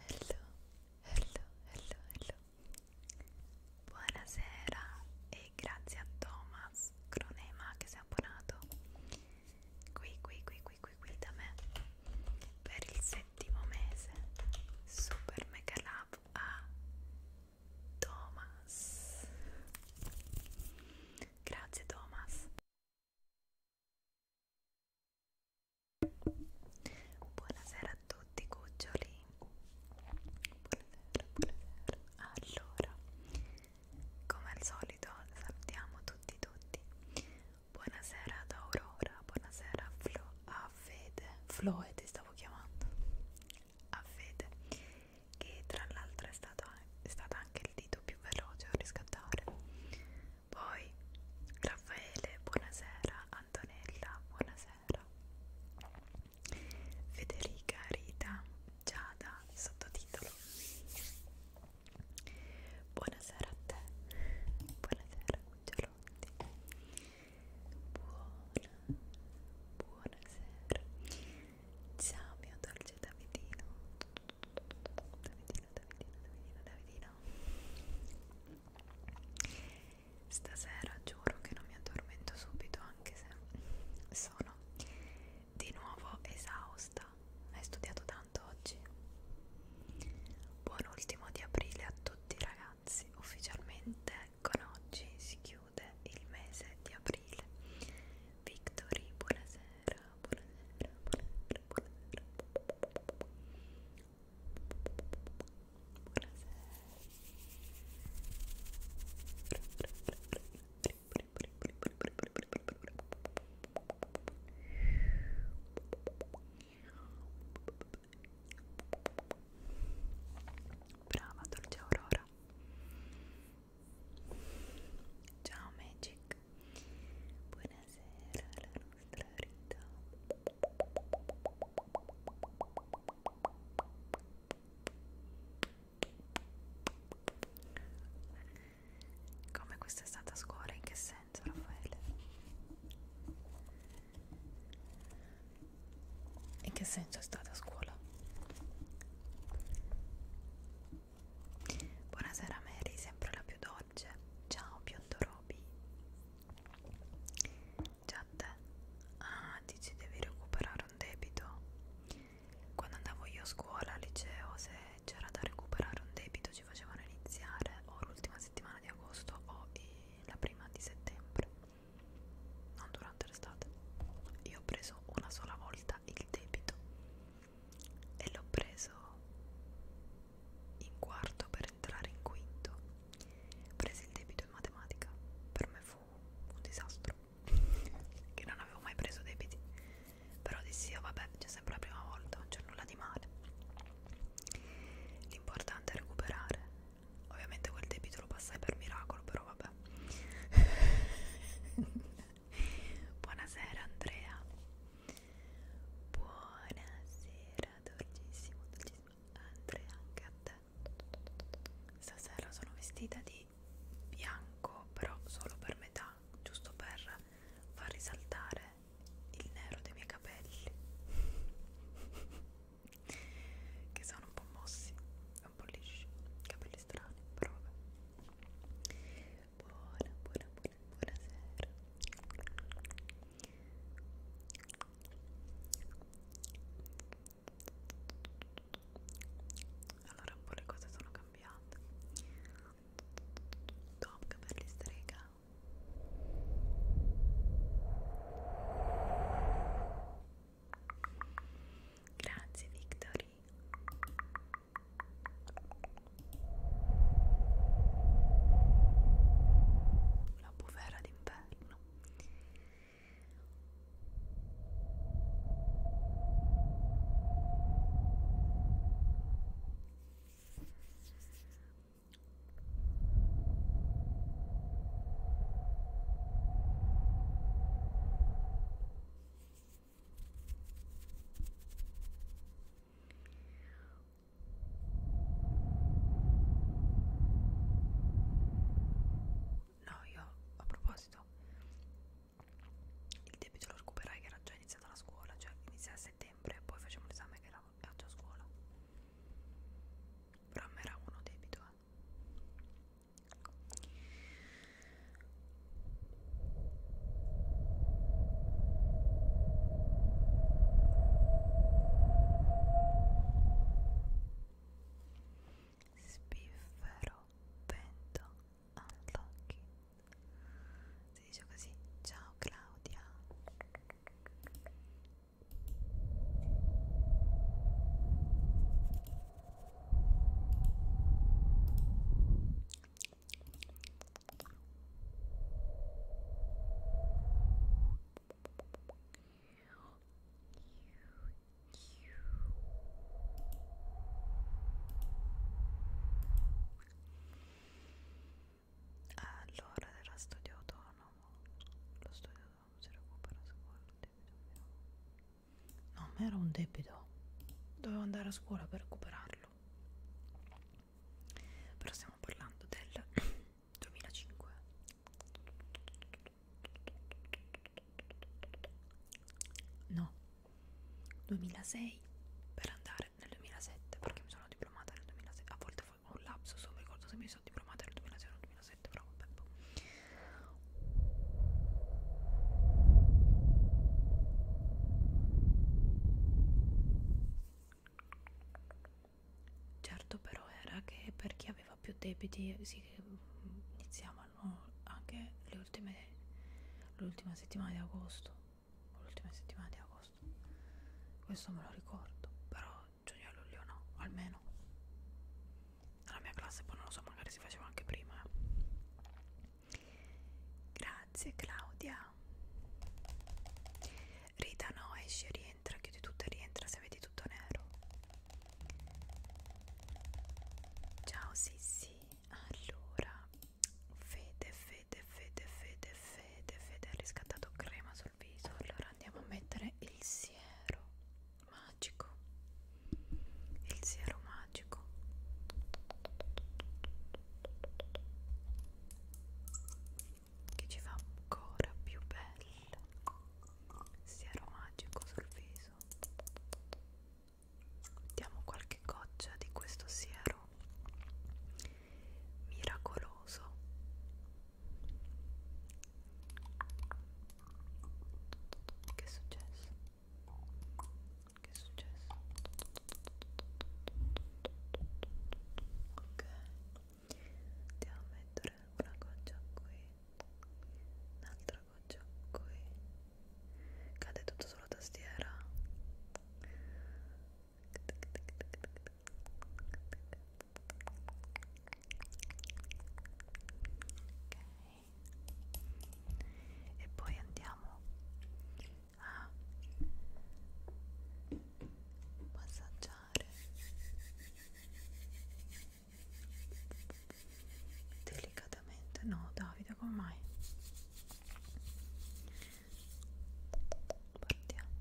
Hello, hello, hello, hello. Buonasera e grazie a Thomas Cronema che si è abbonato qui, qui, qui, qui, qui, qui da me per il settimo mese. Super mega love a Thomas. Grazie Thomas. Buonasera a tutti cuccioli. Buonasera, buonasera. Allora, come al solito salutiamo tutti tutti. Buonasera ad Aurora, buonasera a Flo, a Fede. Floe eh, ti stavo chiamando. A Fede, che tra l'altro è, è stato anche il dito più veloce a riscattare. Poi Raffaele, buonasera, Antonella, buonasera, Federica, Rita, Giada, sottotitolo. Buonasera a te, buonasera Cucciolotti, buona, buonasera, ciao mio dolce Davidino, Davidino Davidino, Davidino, Davidino, Davidino Stasera giuro che non mi addormento subito anche se sono di nuovo esausta Hai studiato tanto oggi? Buon ultimo di aprile a tutti ragazzi Ufficialmente con oggi si chiude il mese di aprile Victory, buonasera, buonasera, buonasera, buonasera What is it? dolce aurora. Ciao Magic, Buonasera alla nostra Rita Come questa è stata scuola? In che senso, Raffaele? In che senso è stata scuola? Buonasera Mary, sempre la più donna Giorge, ciao biondo Roby, ciao a te, ah dici devi recuperare un debito, quando andavo io a scuola, al liceo, se c'era da recuperare un debito ci facevano iniziare o l'ultima settimana di agosto o la prima di settembre, non durante l'estate, io ho preso una sola volta il debito e l'ho preso in quarto per per entrare in quinto. Presi il debito in matematica, per me fu un disastro, che non avevo mai preso debiti, però dissi, oh, vabbè, c'è sempre la prima volta, non c'è nulla di male. L'importante è recuperare, ovviamente quel debito lo passai per miracolo, però vabbè. Buonasera Andrea Buonasera, dolcissimo, dolcissimo Andrea, anche a te Stasera sono vestita di bianco, però solo per metà, giusto per far risaltare il nero dei miei capelli che sono un po' mossi, un po' lisci, capelli strani, però vabbè Buona, buona, buona, buonasera allora un po' le cose sono cambiate top che per l'istrega grazie Victory la bufera d'inverno No, io a proposito, il debito lo recuperai che era già iniziata la scuola, cioè inizia a settembre, poi facciamo l'esame che era già a scuola. Però me era uno debito, eh. Spiffero vento all'occhio. Si dice così. Ciao Claudia. Allora, era studio autonomo. Lo studio autonomo si recupera a scuola. No, ma era un debito. Dovevo andare a scuola per recuperarlo. Però stiamo parlando del 2005 no 2006 per andare nel 2007 perché mi sono diplomata nel 2006 a volte ho un lapso non mi ricordo se mi sono diplomata nel 2006 o nel 2007 però vabbè certo però era che per chi aveva più debiti eh, si iniziavano anche le ultime l'ultima settimana di agosto l'ultima settimana di agosto questo me lo ricordo però giugno e luglio no almeno nella mia classe poi non lo so magari si faceva anche prima eh. grazie Claudia Rita no, esci rientra, chiudi tutto e rientra se vedi tutto nero. Ciao Sissi, allora, fede, fede, fede, fede, fede, fede, ha riscattato crema sul viso, allora andiamo a mettere il siero magico, il siero magico che ci fa ancora più belle sia aromagico sul viso mettiamo qualche goccia di questo siero miracoloso che è successo? che è successo? ok andiamo a mettere una goccia qui un'altra goccia qui cade tutto sulla tastiera ok e poi andiamo a massaggiare rilassare delicatamente no Davide come mai partiamo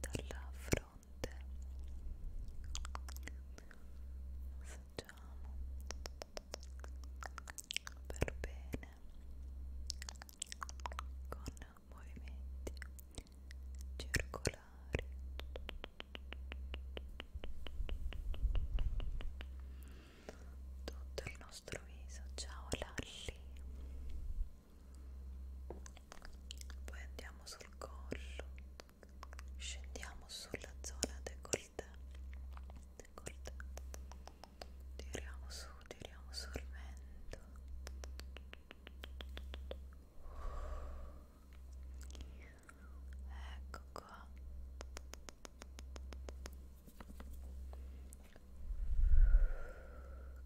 dalla fronte massaggiamo per bene con movimenti circolari tutto il nostro viso ciao Lalli poi andiamo sul collo scendiamo sulla zona decoltà decoltà tiriamo su tiriamo sul mento ecco qua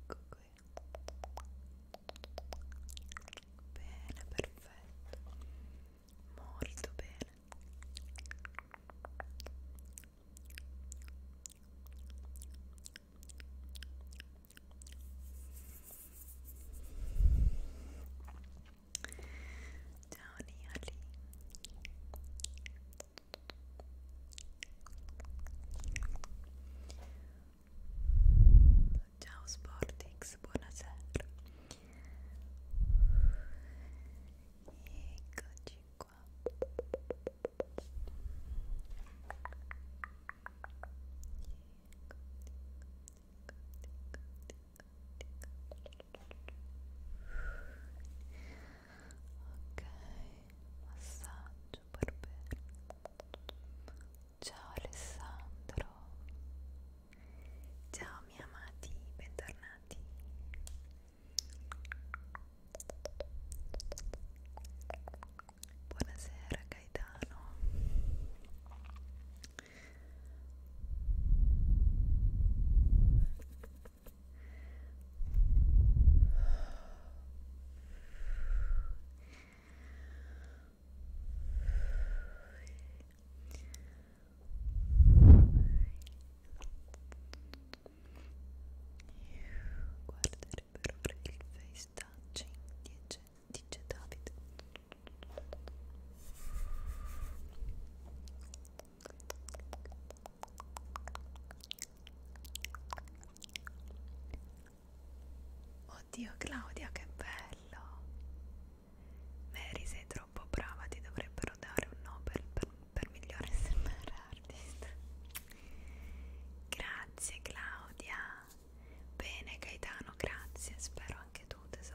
ecco qui bene perfetto molto bene Ciao Niali Ciao Sportix, buonasera Eccoci qua Ok, massaggio per bene. Ciao Alessandro. Ciao miei amati, bentornati. Ok, Buonasera Gaetano Guarda potrebbero fare il face touching dice, dice David Oddio Claudia che bello Mary sei troppo brava ti dovrebbero dare un Nobel per, per migliore SMR artist Grazie Claudia Bene Gaetano, grazie, spero anche tu tesoro.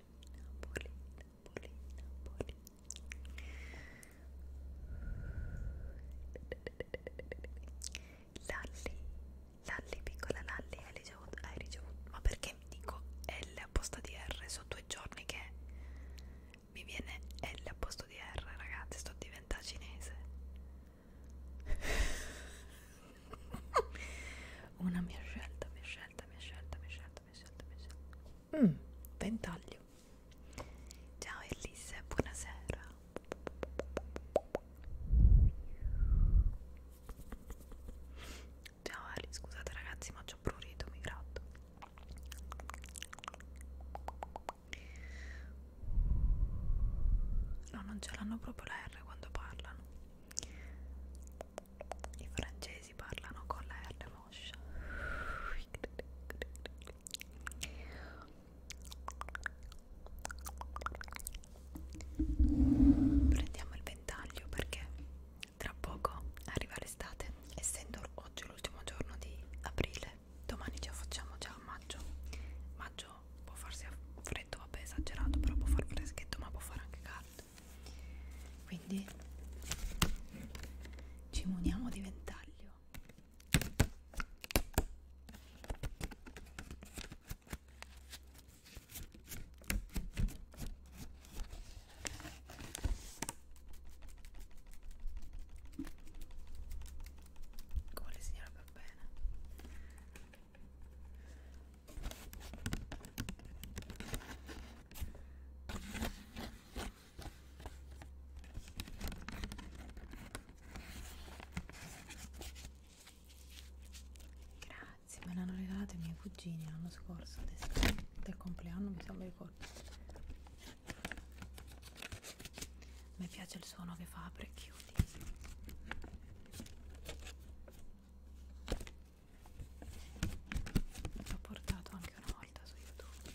Polina, Polina, Polina, Polina Lalli, Lalli, piccola Lalli, hai ricevuto, hai ricevuto Ma perché mi dico L a posto di R? Sono due giorni che mi viene L a posto di R, ragazzi, sto diventando cinese Una mia scelta, mia scelta scelta, mia scelta, mia scelta, mia scelta, mia scelta. Mm, ventaglio. Ciao Elise, buonasera. Ciao Ali, scusate ragazzi, ma c'ho prurito, mi gratto. No, non ce l'hanno proprio la R quando parlano i francesi parlano con la R moscia prendiamo il ventaglio perché tra poco arriva l'estate essendo oggi l'ultimo giorno di aprile domani ce la facciamo già a maggio maggio può farsi freddo vabbè esagerato però può far freschetto ma può fare anche caldo quindi ci muniamo di ventaglio come le signora per bene Grazie, me l'hanno regalato i miei cugini l'anno scorso, adesso, del compleanno mi sembra ricordo. Mi piace il suono che fa apre e chiudi l'ho portato anche una volta su youtube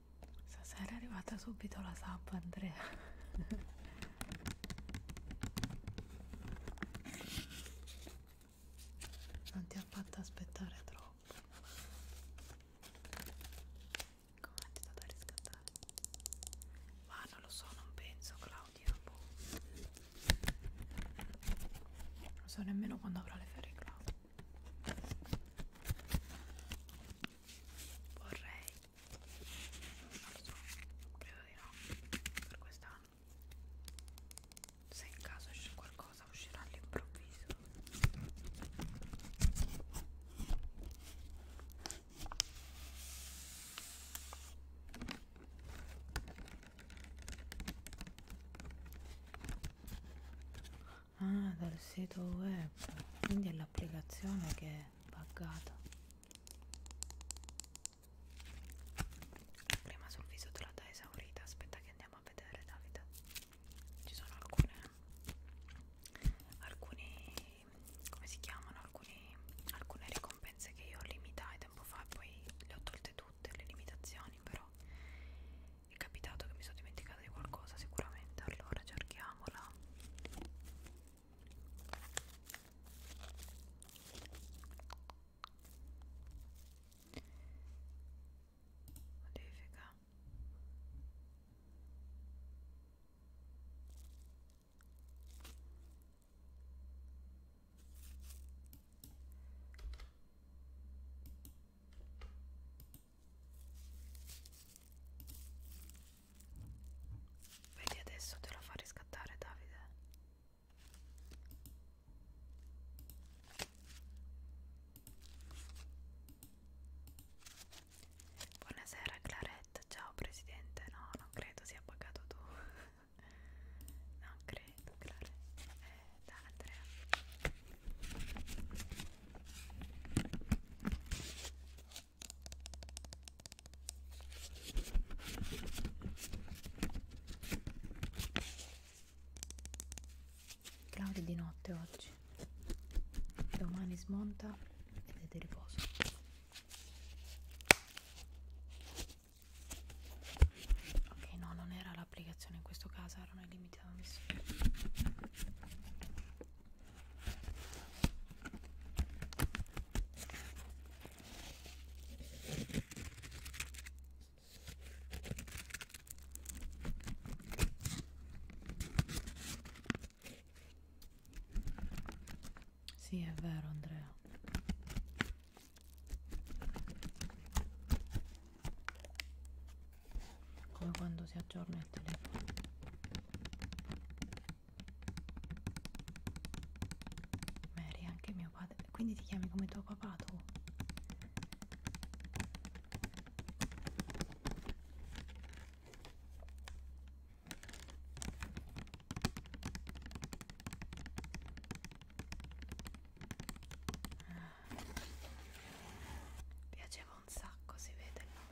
Stasera è arrivata subito la sub Andrea Non ti ha fatto aspettare troppo Come ti da riscattare? Ma non lo so, non penso Claudia boh. Non so nemmeno quando avrò le ferie Claudia vorrei non lo so credo di no per quest'anno se in caso esce qualcosa uscirà all'improvviso ah dal sito web quindi è l'applicazione che è buggata prima sul viso te l'ho da esaurita aspetta che andiamo a vedere Davide ci sono alcune alcuni come si chiamano alcuni, alcune ricompense che io limitai tempo fa e poi le ho tolte tutte le limitazioni però è capitato che mi sono dimenticata di qualcosa sicuramente allora cerchiamola modifica Vedi adesso te lo fa riscattare Davide. Buonasera Clarette, ciao presidente. No, non credo sia pagato tu. non credo, Clarette. Eh, da Andrea. Claudio di notte oggi, domani smonta ed è di riposo. Ok, no, non era l'applicazione in questo caso, erano i limiti ammessi. Sì, è vero Andrea come quando si aggiorna il telefono Mary anche mio padre quindi ti chiami come tuo papà tu ah. piaceva un sacco si vede il nome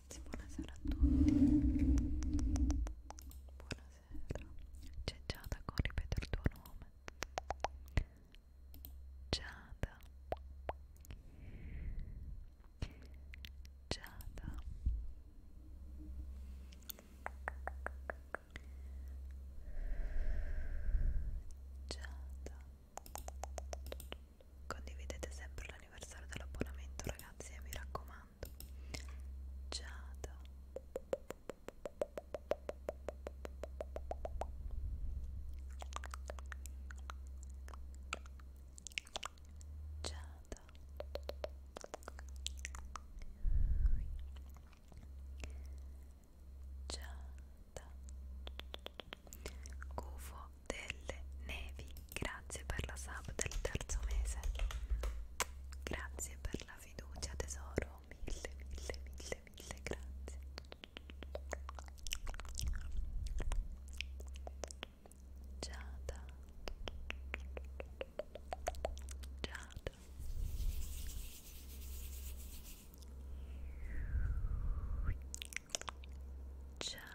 ragazzi, buonasera a tutti Buonasera C'è Giada con ripeto il tuo nome Giada Giada Giada Condividete sempre l'anniversario dell'abbonamento ragazzi e mi raccomando parlando Giada Giada Giada Gufo delle nevi Grazie per la sub del terzo mese. Grazie per la fiducia, tesoro. Mille, mille, mille, mille grazie. Giada. Giada. Ciao.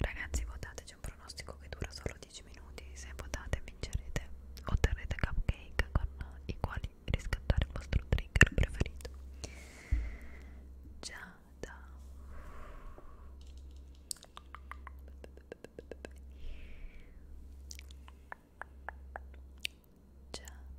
Ragazzi votateci un pronostico che dura solo 10 minuti, se votate vincerete, otterrete cupcake con i quali riscattare il vostro trigger preferito. Giada Giada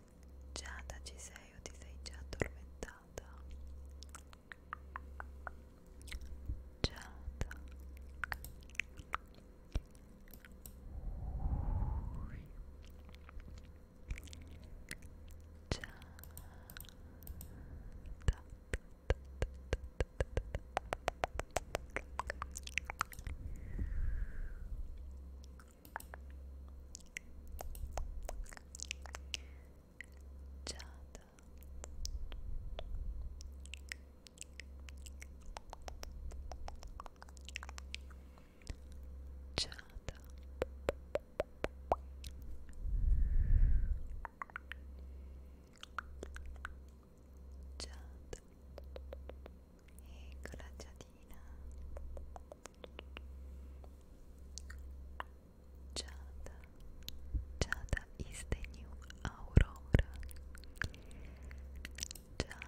Giada ci sei o ti sei già addormentata? Giada Ui. Giada Giada Giada Giada Giada Eccola Giadina Jada, Jada is de nieuwe Aurora. Jada, Jada.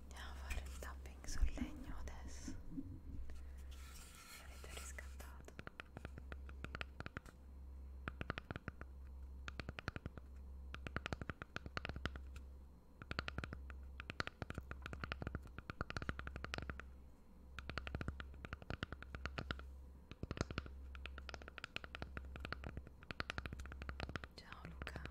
Andiamo a fare il tapping sul legno adesso. L'avete riscattato. Ciao Luca.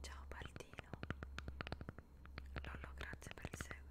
Ciao Baldino Lollo grazie per il seguito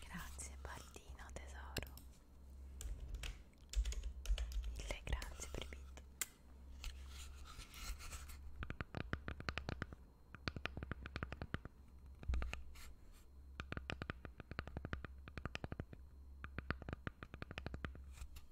Grazie Baldino tesoro. Mille grazie per il beat.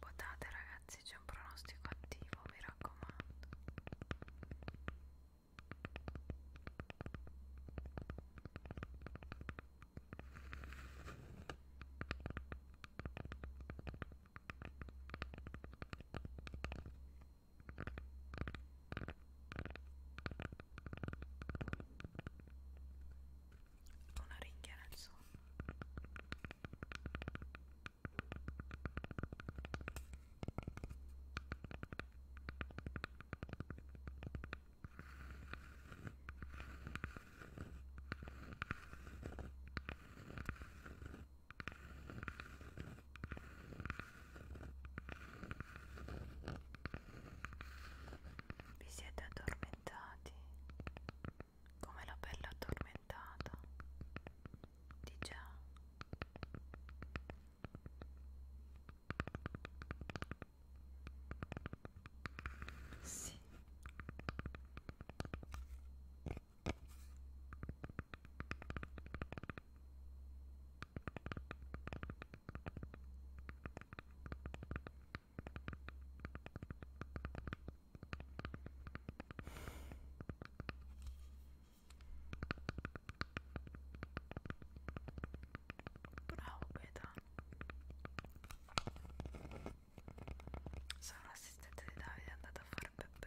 Votate ragazzi, c'è un pronostico attivo, mi raccomando una ringhia nel sonno vi siete addormentati illuminati come la bella addormentata di già sì Bravo Gaetano Sono l'assistente di Davide, è andato a fare Peppe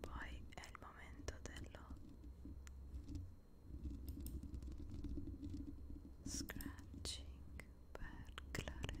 Poi è il momento dello scratching per Claret.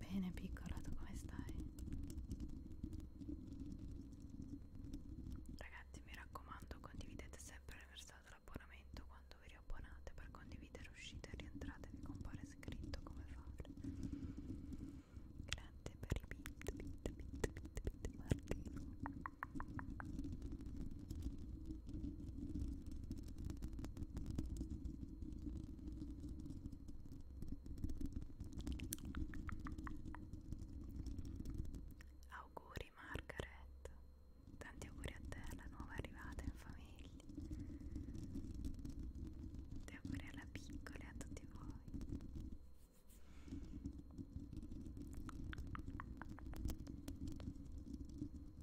Bene piccola, tu come stai? Ragazzi mi raccomando condividete sempre il versato l'abbonamento quando vi riabbonate per condividere uscite e rientrate vi compare scritto come fare. Grazie per i bit bit bit bit bit Martino. Auguri Margaret, tanti auguri a te, la nuova arrivata in famiglia. Tanti auguri alla piccola e a tutti voi.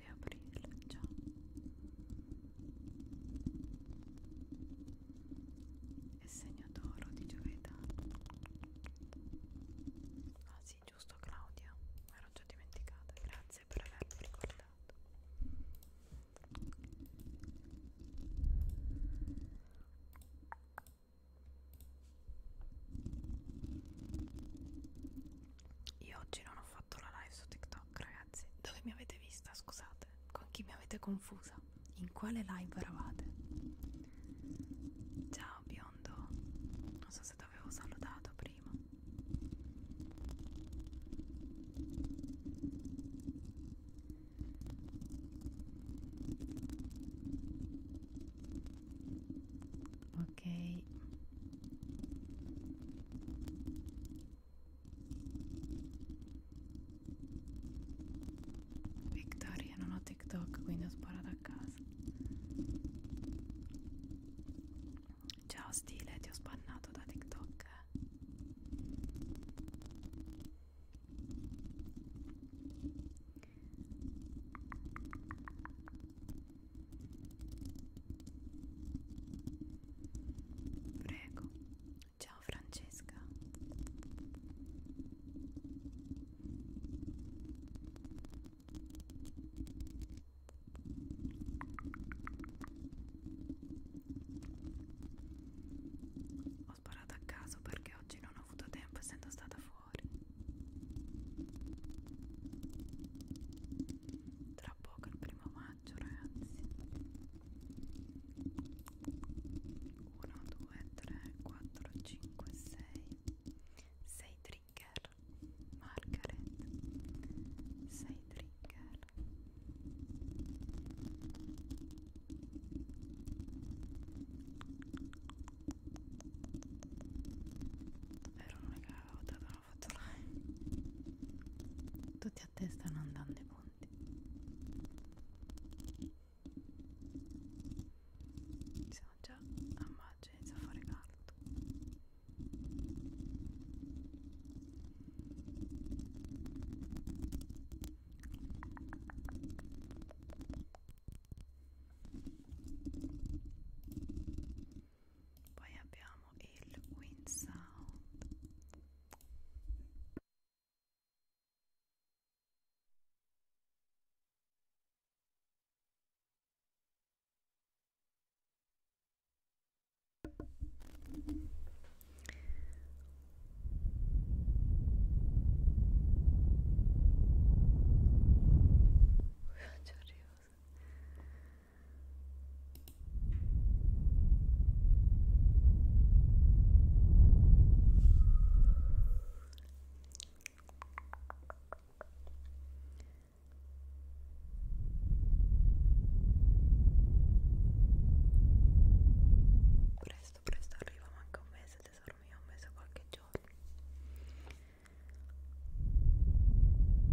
prima di aprirla già è segno d'oro di giovedì ah sì giusto Claudia mi ero già dimenticata grazie per avermi ricordato io oggi non ho fatto la live su TikTok TikTok, ragazzi. Dove mi avete vista? Scusate, con chi mi avete confusa? In quale live eravate? Ciao biondo, non so se ti avevo salutato prima. Ok. Victoria, non ho TikTok, quindi ho sparato a casa. Ciao stile, ti ho spannato da TikTok. Eh. Prego. Ciao Francesca. Ho sparato a caso perché oggi non ho avuto tempo essendo stata fuori. Tra poco il primo maggio mangio ragazzi 1 2 3 4 5 6 6 trigger margaret 6 trigger erano le che avevo dato hanno fatto live tutti a te stanno andando i punti siamo già a maggio inizia a fare caldo poi abbiamo il wind sound Ci arrivo Presto, presto arriva, manca un mese tesoro mio, un mese qualche giorno.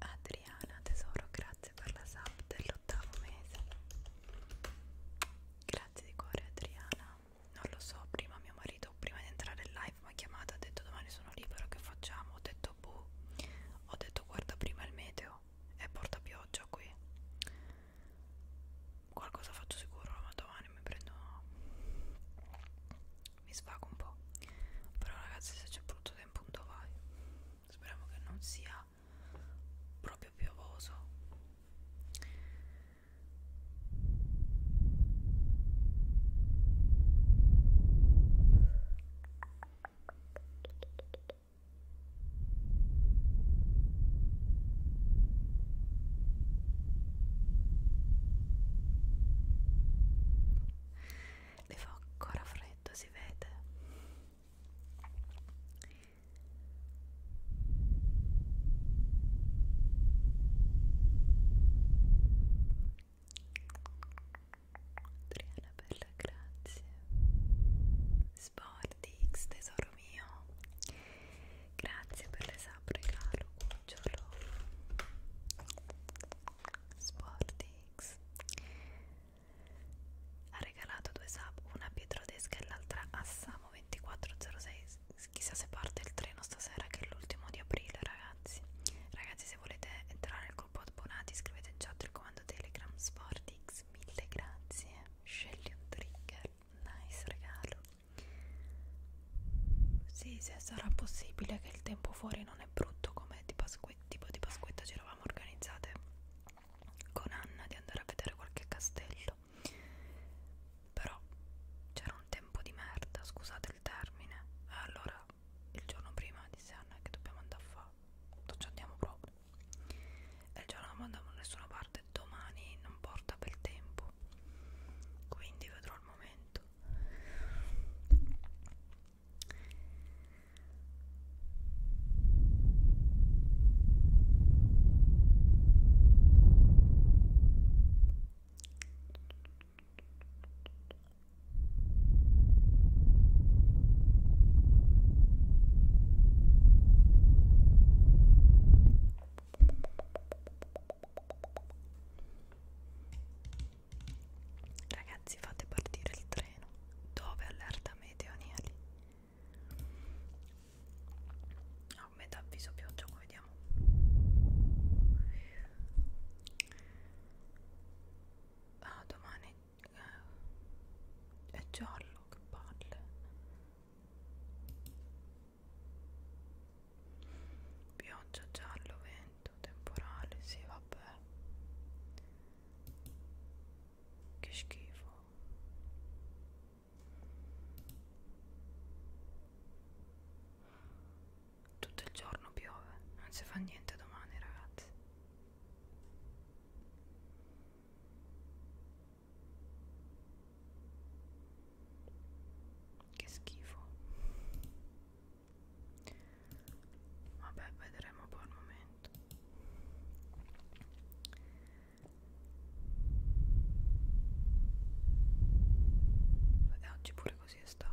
Adriana tesoro grazie per la sub dell'ottavo mese grazie di cuore Adriana non lo so, prima mio marito, prima di entrare in live mi ha chiamato, ha detto domani sono libero, che facciamo? Ho detto boh, ho detto guarda prima il meteo, è porta pioggia qui, qualcosa faccio sicuro, ma domani mi prendo, mi svago un po', però ragazzi se c'è brutto tempo un vai, speriamo che non sia proprio piovoso le fa ancora freddo, si vede. Adriana bella grazie Sportix tesoro mio Grazie per le sub regalo cucciolo Sportix ha regalato due sub una a Pietro Desca e l'altra a Samo2406 Chissà se parte il treno stasera che è l'ultimo di aprile ragazzi Ragazzi se volete entrare nel gruppo abbonati scrivete in chat il comando telegram Sportix Mille grazie Scegli un trigger Nice regalo Sì se sarà possibile che il tempo fuori non è brutto come di Pasquetta Tipo di Pasquetta ci eravamo organizzate con Anna di andare a vedere qualche castello capito però c'era un tempo di merda scusate il termine e allora il giorno prima disse Anna che dobbiamo andare a fare non ci andiamo proprio e il giorno non andiamo da nessuna parte domani non porta bel tempo quindi vedrò il momento Ragazzi, fate partire il treno. Dove allerta meteoniali? a metà avviso pioggia come vediamo ah domani eh, è giallo che palle pioggia giallo vento temporale si sì, vabbè che schifo tutto il giorno piove, non si fa niente domani ragazzi. Che schifo. Vabbè, vedremo poi il momento e oggi pure così è stato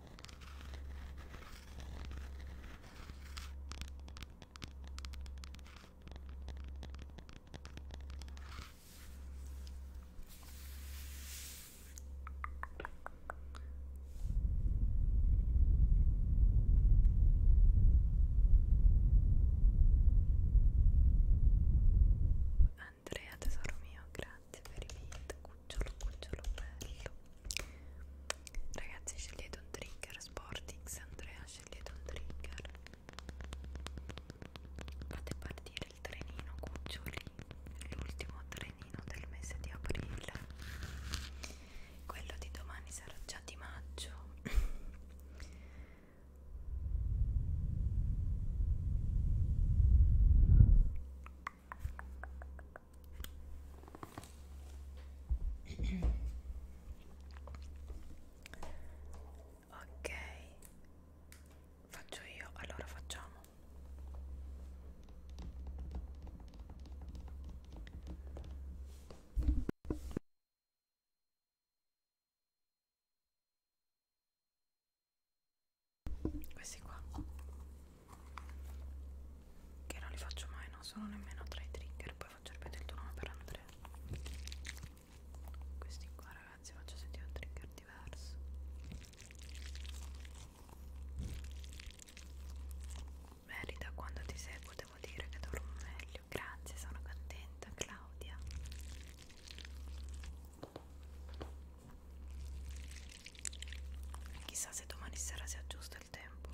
Andrea tesoro mio, grazie per i video cucciolo cucciolo bello ragazzi scegliete un trigger Sportix Andrea scegliete un trigger fate partire il trenino cuccioli l'ultimo trenino del mese di aprile quello di domani sarà già di maggio ok faccio io allora facciamo questi qua che non li faccio mai, non sono nemmeno tra i trigger, poi faccio ripetere il tuo nome per Andrea. Questi qua ragazzi faccio sentire un trigger diverso. Merita quando ti seguo devo dire che dormo meglio. Grazie, sono contenta Claudia. Chissà se domani sera si aggiusta il tempo.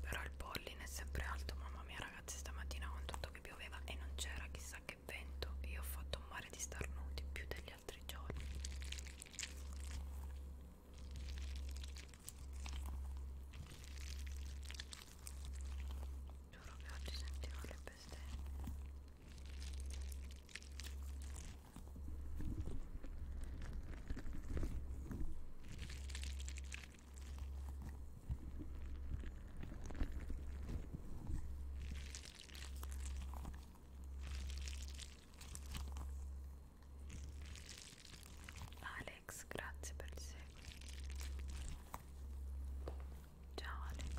Però il polline è sempre alto, mamma mia ragazzi stamattina con tutto che pioveva e non c'era chissà che che vento io ho fatto un mare di starnuti più degli altri giorni giuro che oggi sentirò le bestemmie Alex, grazie per il seguito. Ciao Alex.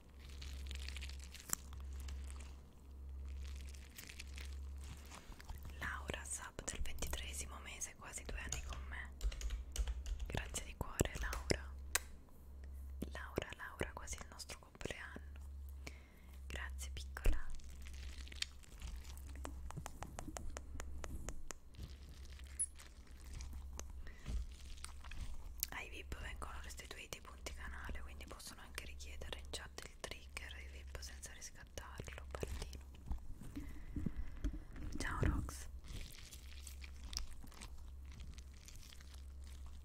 Laura Sub del ventitresimo mese, quasi due anni con me. Grazie di cuore Laura. Laura, Laura, quasi il nostro compleanno. Grazie piccola. Ai VIP vengono restituiti dei punti canale quindi possono anche richiedere in chat il trigger e VIP senza riscattarlo Partino ciao Rox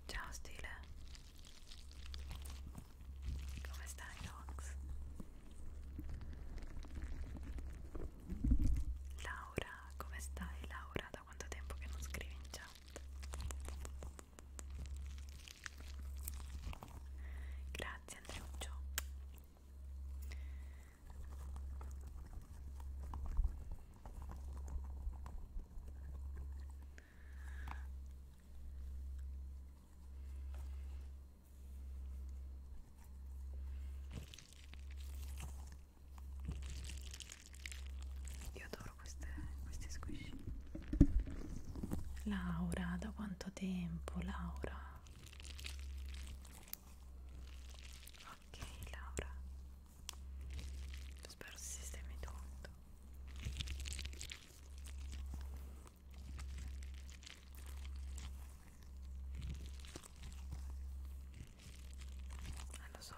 ciao Stile come stai Rox? Laura come stai Laura? Da quanto tempo che non scrivi in chat? Grazie Andreuccio. Io adoro queste, questi squishy. Laura, da quanto tempo, Laura? Ok, Laura. Spero si sistemi tutto. Ah, lo so,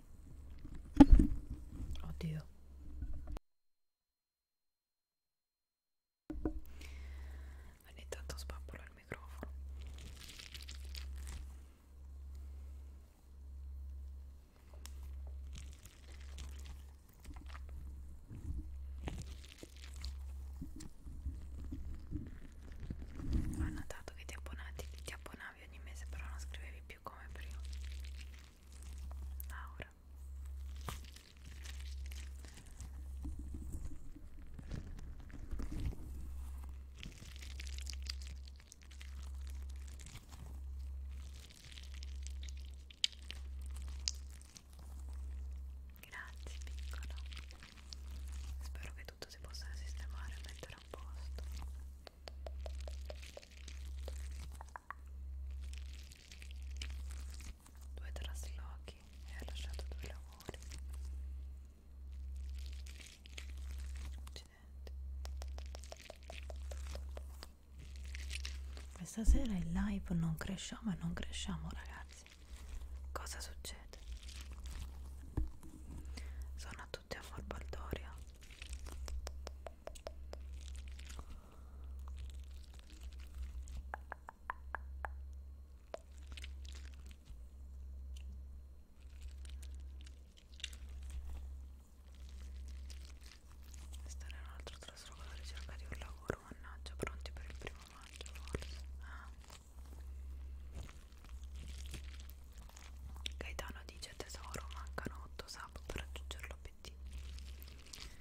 Oddio. Ogni tanto spappolo il microfono. Ho notato che ti abbonavi, ti abbonavi ogni mese, però non scrivevi più come prima Laura Grazie piccolo Spero che tutto si possa sistemare e mettere a posto due traslochi e ha lasciato due lavori accidenti questa sera in live non cresciamo e non cresciamo ragazzi cosa succede? sono a tutti tutti a Forbaldoria Stare in un altro traslo con la ricerca di un lavoro, mannaggia, pronti per il primo maggio forse. Ah. Gaetano dice tesoro, mancano 8 sapo per raggiungere l'obiettivo Ecco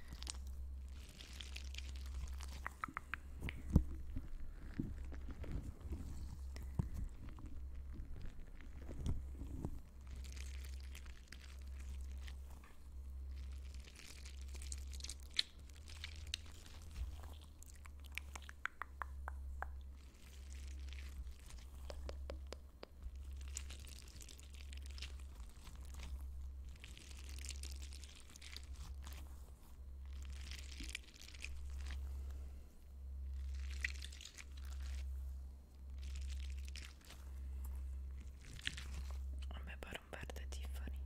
a me pare un verde Tiffany.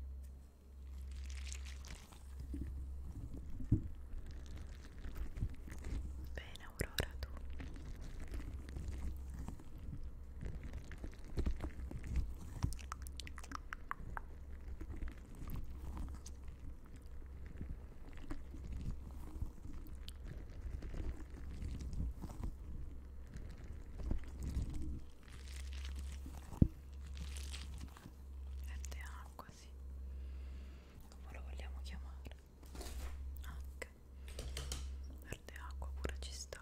Beh, bene Aurora tu verde acqua sì come lo vogliamo chiamare anche verde acqua pure ci sta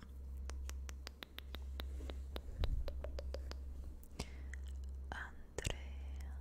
Andrea Andrea Andrea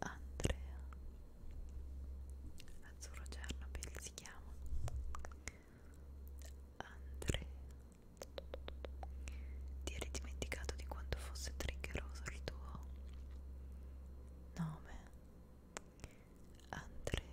Andrea Azzurro Cernobyl si chiama Andrea Ti eri dimenticato di quanto fosse triggeroso il tuo nome Andrea Andrea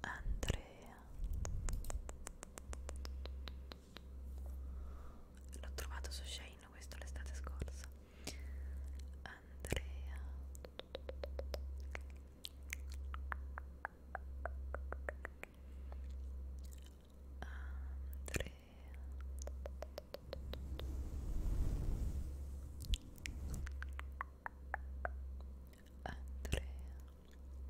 Andrea l'ho trovato su Shane questo l'estate scorsa Andrea Andrea Andrea Andrea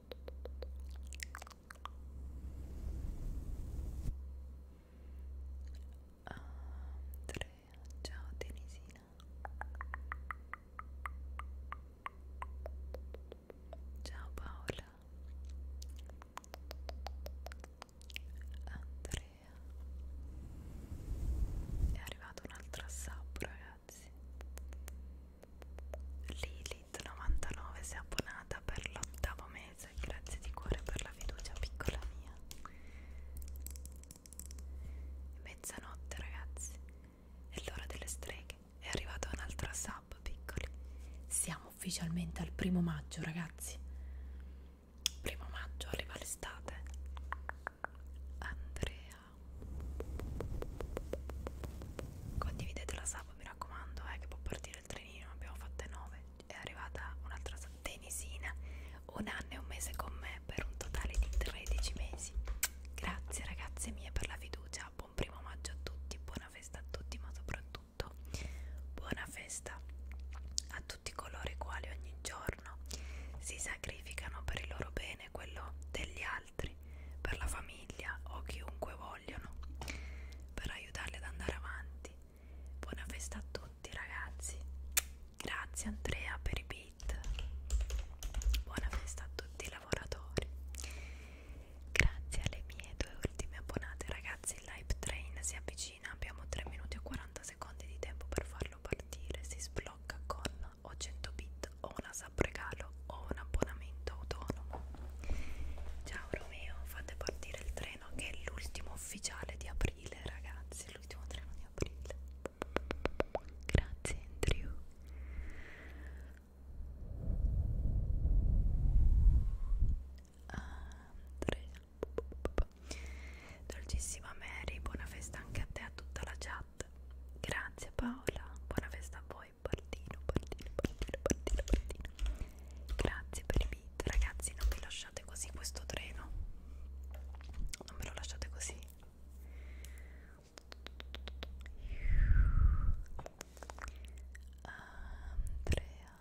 Andrea, ciao Tenisina Ciao Paola Andrea È arrivata un'altra sub ragazzi eh grazie Lilith99 si è abbonata per l'ottavo mese grazie di cuore per la fiducia piccola mia mezzanotte ragazzi è l'ora delle streghe è arrivata un'altra sub piccoli siamo ufficialmente al primo maggio ragazzi primo maggio arriva l'estate Andrea Condividete la sub, mi raccomando, eh, che può partire il trenino, abbiamo fatte 9. È arrivata un'altra tenisina, un anno e un mese con me per un totale di 13 mesi. Grazie ragazze mie per la fiducia, buon primo maggio a tutti, buona festa a tutti, ma soprattutto buona festa a tutti coloro i quali ogni giorno si sacrificano per il loro bene, quello degli altri altri, per la famiglia o chiunque vogliono, per aiutarli ad andare avanti. Buona festa a tutti ragazzi, grazie Andrea per i beat, buona festa a tutti i lavoratori, grazie alle mie due ultime abbonate ragazzi, il live train si avvicina, abbiamo 3 minuti e 40 secondi di tempo per farlo partire, si sblocca con o 100 bit o una sub regalo o un abbonamento autonomo ciao Romeo fate partire il treno che è l'ultimo ufficiale di aprile ragazzi l'ultimo treno di aprile grazie Andrew Andrea Dolcissima Mary, buona festa anche a te e a tutta la chat. Grazie Paola, buona festa a voi poi Baldino, Baldino, Baldino, Baldino, Baldino. Grazie per i beat, ragazzi, non mi lasciate così questo treno. Non me lo lasciate così. Andrea Andrea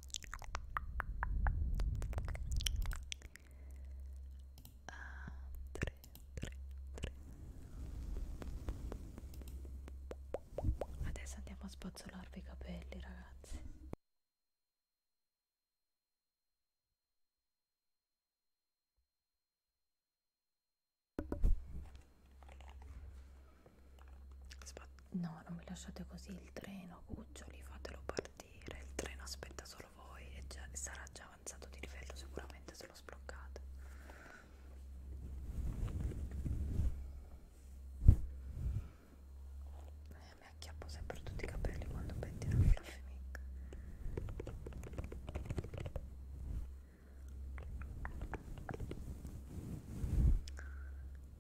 a 3 3 3 adesso andiamo a spazzolarvi i capelli ragazzi Sp no non mi lasciate così il treno cuccioli fatelo partire partire, il treno aspetta solo voi e già, sarà già avanzato di livello sicuramente se lo sbloccate. Eh, mi acchiappo sempre tutti i capelli quando pettino un fluffy mic.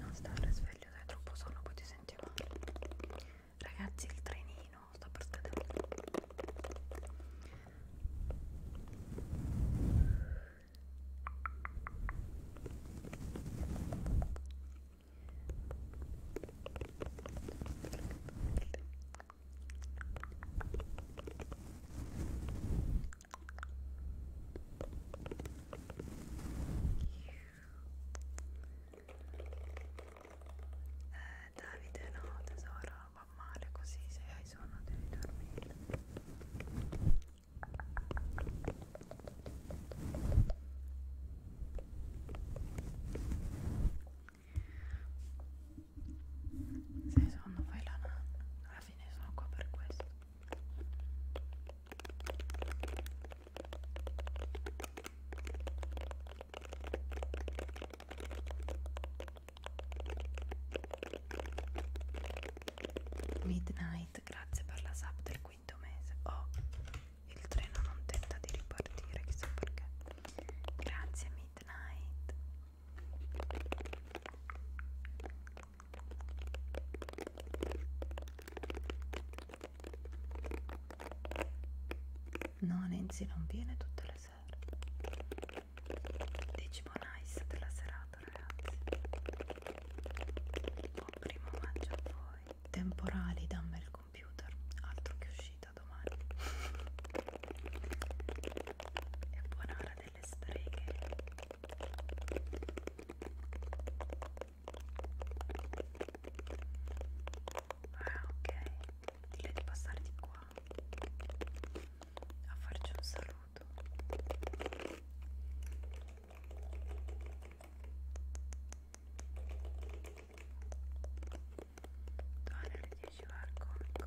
non stare sveglio dai troppo sonno poi ti senti male ragazzi il trenino sta per scadere eh, Davide no tesoro, va male così, se hai sonno devi dormire. Se hai sonno fai la nanna, alla fine sono qua per questo. Midnight, grazie per la sub del quinto mese. Oh, il treno non tenta di ripartire, chissà perché. Grazie Midnight. No, Nenzi non viene tutte le sere. Decimo nice della serata, ragazzi. Buon primo maggio a voi. Temporali, dammi il computer. Altro che uscita domani. e buona ora del le streghe ah ok dille di passare di qua a farci un saluto Donne alle 10 va al comico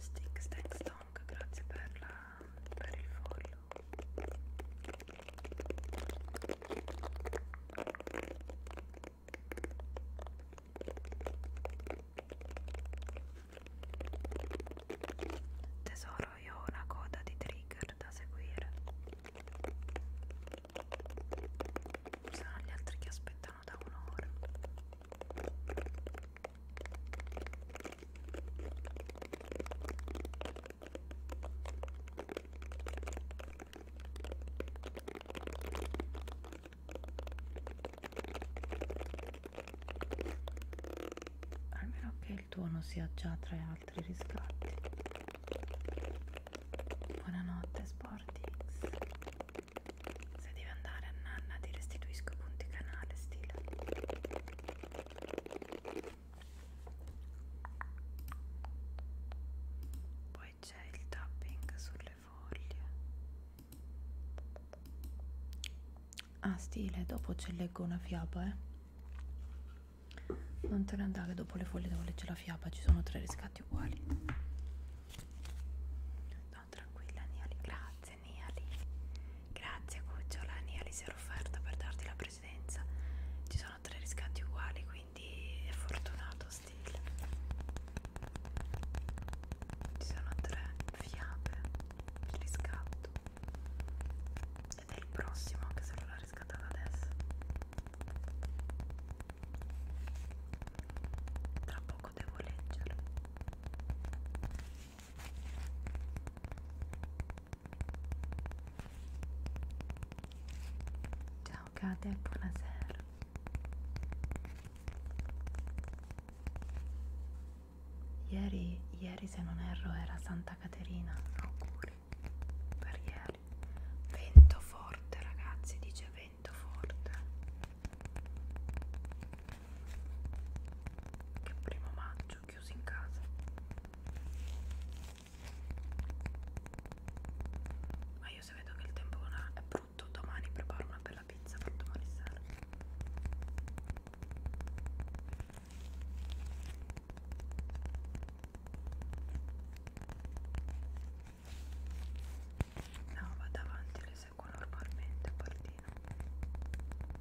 Stick Stack Stonk, grazie per, la, per il follow Tesoro, io ho una coda di trigger da seguire Saranno gli altri che aspettano da un'ora almeno che il tuo non sia già tra altri riscatti buonanotte Sportix se devi andare a nanna ti restituisco i punti canale stile poi c'è il tapping sulle foglie ah stile dopo ci leggo una fiaba eh non te ne andare dopo le foglie devo leggere la fiaba ci sono tre riscatti uguali no tranquilla Niali grazie Grazie Niali. Grazie Cucciola, Niali si era offerta per darti la presidenza. Ci sono tre riscatti uguali, quindi è fortunato stile. Ci sono tre fiabe il riscatto. Ed è il prossimo anche se non l'ha riscattato adesso. Tra poco devo leggerlo. Ciao Kate, buonasera. Ieri, ieri se non erro era Santa Caterina, auguri per ieri. Vento forte ragazzi, dice vento forte. Che primo maggio pomeriggio chiusi in casa ma io se vedo che il tempo è brutto domani preparo una bella pizza per domani sera No, vado avanti, le seguo normalmente, partino.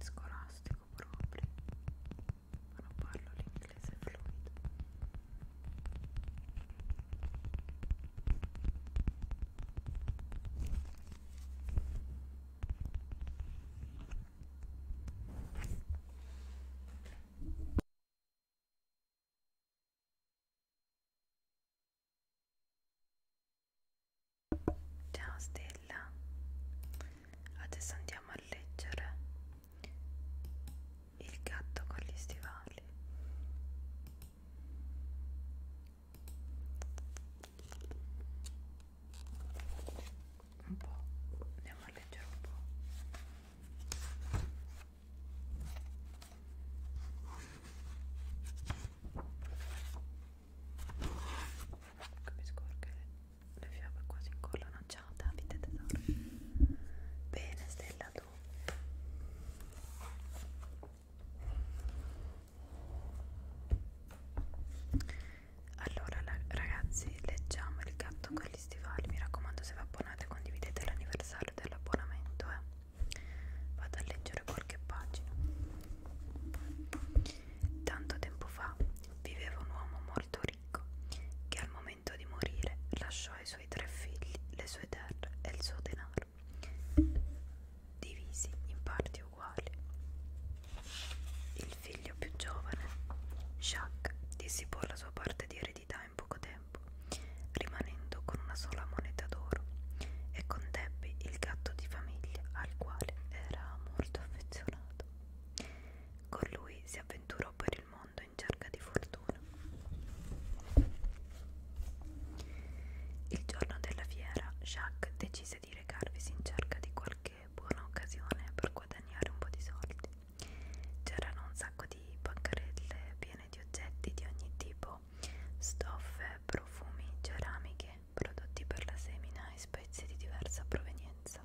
Scolastico proprio, ma non parlo l'inglese fluido. Ciao Stella, adesso andiamo a leggere il gatto con gli stivali. Un po', andiamo a leggere un po'. Come scorre le fiabe quasi incollano. Ciao Davide tesoro. Bene, Stella tu. Allora ragazzi, leggiamo il gatto con gli stivali. Mi raccomando, se vi abbonate condividete l'anniversario dell'abbonamento, eh vado a leggere qualche pagina tanto tempo fa viveva un uomo molto ricco che al momento di morire lasciò ai suoi tre figli le sue terre e il suo denaro divisi in parti uguali il figlio più giovane Jacques dissipò la sua parte di eredità in poco tempo rimanendo con una sola moneta d'oro, e con Debbie il gatto di famiglia al quale era molto affezionato. Con lui si avventurò per il mondo in cerca di fortuna. Il giorno della fiera, Jacques decise di recarvisi in cerca di qualche buona occasione per guadagnare un po' di soldi. C'erano un sacco di bancarelle piene di oggetti di ogni tipo stoffe, profumi, ceramiche, prodotti per la semina e spezie di diversa provenienza.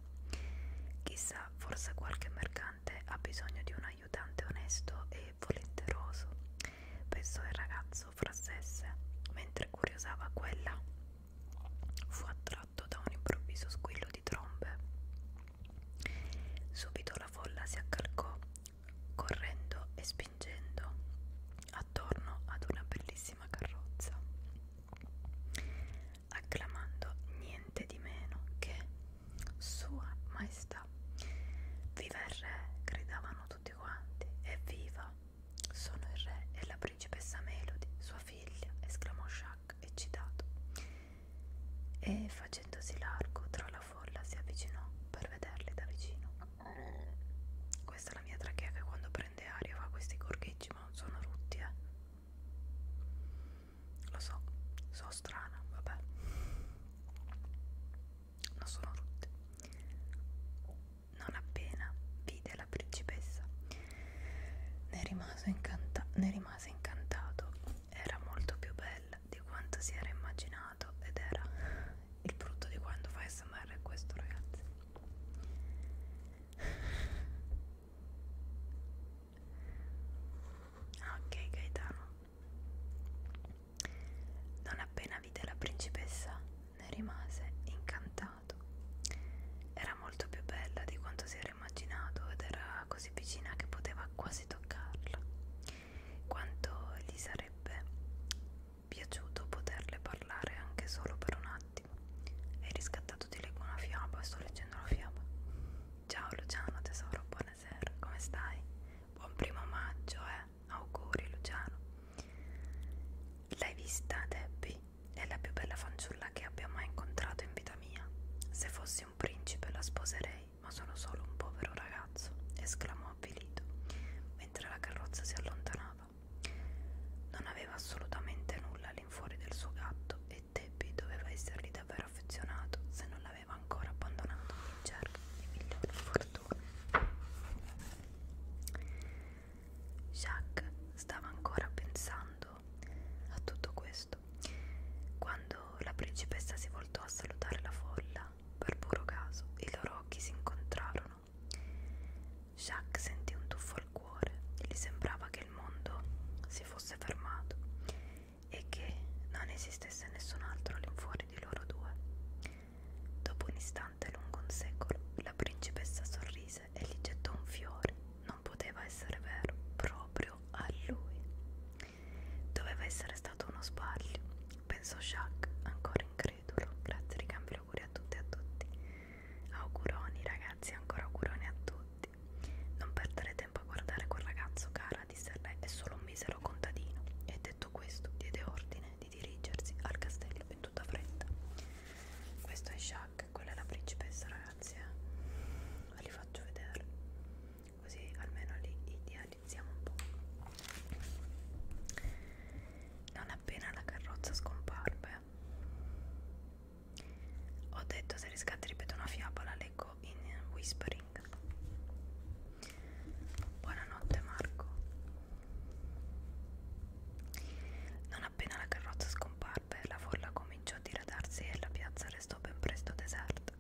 Chissà, forse qualche mercante ha bisogno di un aiutante onesto e volenteroso, pensò il ragazzo fra sé mentre curiosava quella. Fu attratto da un improvviso squillo di trombe. Subito la folla si accalcò correndo e spingendo attorno ad una bellissima carrozza, acclamando niente di meno che Sua Maestà. Viva il re, gridavano tutti quanti, evviva! Sono il re e la principessa Melody, sua figlia, esclamò Jacques eccitato. E facendosi largo tra la folla si avvicinò per vederli da vicino. Eh, questa è la mia trachea che quando prende aria fa questi gorgheggi, ma non sono rutti, eh. Lo so, so strana, vabbè. Non sono rutti. Non appena vide la principessa, ne rimase, incanta ne rimase incantato. Era molto più bella di quanto si era immaginato suonato ed era il brutto di quando fai smr è questo ragazzi ok Gaetano non appena vide la principessa ne rimase incantato era molto più bella di quanto si era immaginato ed era così vicina che poteva quasi toccarla quanto gli sarebbe piaciuto poterle parlare anche solo per un attimo. Hai riscattato di leggo una fiaba, sto leggendo una fiaba. Ciao Luciano tesoro, buonasera, come stai? Buon primo maggio, eh? Auguri Luciano. L'hai vista Debbie? È la più bella fanciulla che abbia mai incontrato in vita mia. Se fossi un principe la sposerei, ma sono solo un povero ragazzo, esclamò uomo avvilito mentre la carrozza si allontanava. Non aveva assolutamente nulla all'infuori del suo gatto e Debbie doveva essergli davvero affezionato se non l'aveva ancora abbandonato in cerca di migliore fortuna. Jacques stava ancora pensando a tutto questo quando la principessa si voltò a salutare la folla. Per puro caso i loro occhi si incontrarono Jacques sentì un tuffo al cuore, gli sembrava che il mondo si fosse fermato e che non esistesse nessun altro all'infuori di loro due. Dopo un istante lungo un secolo, la principessa sorrise e gli gettò un fiore. Non poteva essere vero, proprio a lui. Doveva essere stato uno sbaglio, pensò Jacques, ancora incredulo incredulo. Grazie, ricambi auguri a tutti e a tutti. Auguroni ragazzi, ancora auguroni a tutti. Non perdere tempo a guardare quel ragazzo, cara, disse lei, è solo un misero contadino. E detto questo, diede ordine di dirigersi al castello in tutta fretta. Questo è Shaq, quella è la principessa, ragazzi. Eh? Ve li faccio vedere. Così almeno lì i dia analizziamo un po' non appena la carrozza scomparve ho detto se riscatti ripeto una fiaba leggo in whispering buonanotte Marco non appena la carrozza scomparve la folla cominciò a diradarsi e la piazza restò ben presto deserta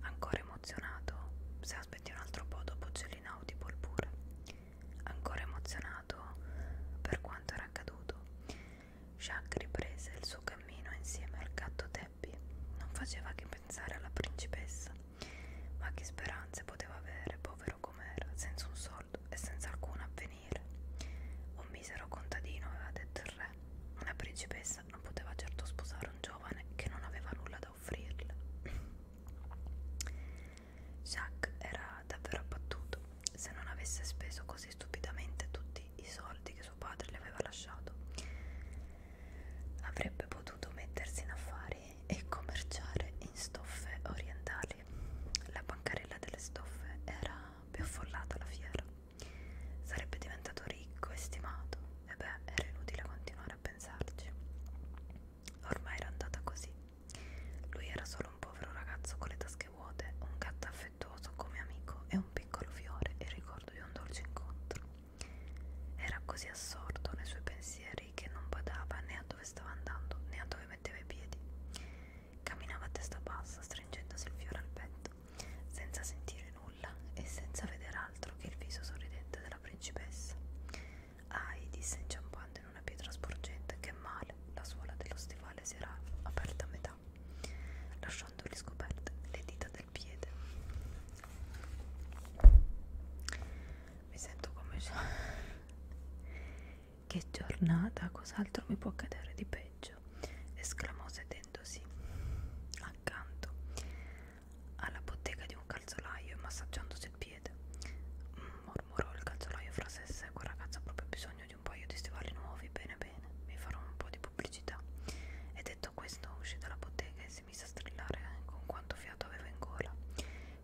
ancora emozionato se aspetti un altro po' dopo c'è l'inaudible pure ancora emozionato per quanto era accaduto. Jack riprese il suo cammino insieme al gatto Debbie. Non faceva che pensare alla principessa, ma che speranze poteva avere, povero com'era, senza un soldo e senza alcun avvenire. Un misero contadino aveva detto il re. Una principessa non poteva certo sposare un giovane che non aveva nulla da offrirle. Jacques era davvero abbattuto. Se non avesse speso così stupidamente tutti i soldi che suo padre le aveva lasciato, avrebbe potuto mettersi in affari e commerciare in stoffe orientali. La bancarella delle stoffe era più affollata alla fiera. Sarebbe diventato ricco e stimato, e beh, era inutile continuare a pensarci. Ormai era andata così. Lui era solo un povero ragazzo con le tasche vuote, un gatto affettuoso come amico e un piccolo fiore e ricordo di un dolce incontro. Era così assorto nei suoi pensieri che non badava né a dove stava andando né a dove metteva i piedi. Camminava a testa bassa, stringendosi il fiore al petto, senza sentire nulla e senza vedere altro che il viso sorridente della principessa. Ai, disse inciampando in una pietra sporgente, che male, la suola dello stivale si era aperta a metà, lasciandoli scoperte le dita del piede. Mi sento come... che giornata, cos'altro mi può accadere di peggio? esclamò sedendosi accanto alla bottega di un calzolaio e massaggiandosi il piede. Mormorò il calzolaio fra sé e sé. Quel ragazzo ha proprio bisogno di un paio di stivali nuovi. Bene, bene, mi farò un po' di pubblicità. E detto questo, uscì dalla bottega e si mise a strillare eh, con quanto fiato aveva in gola.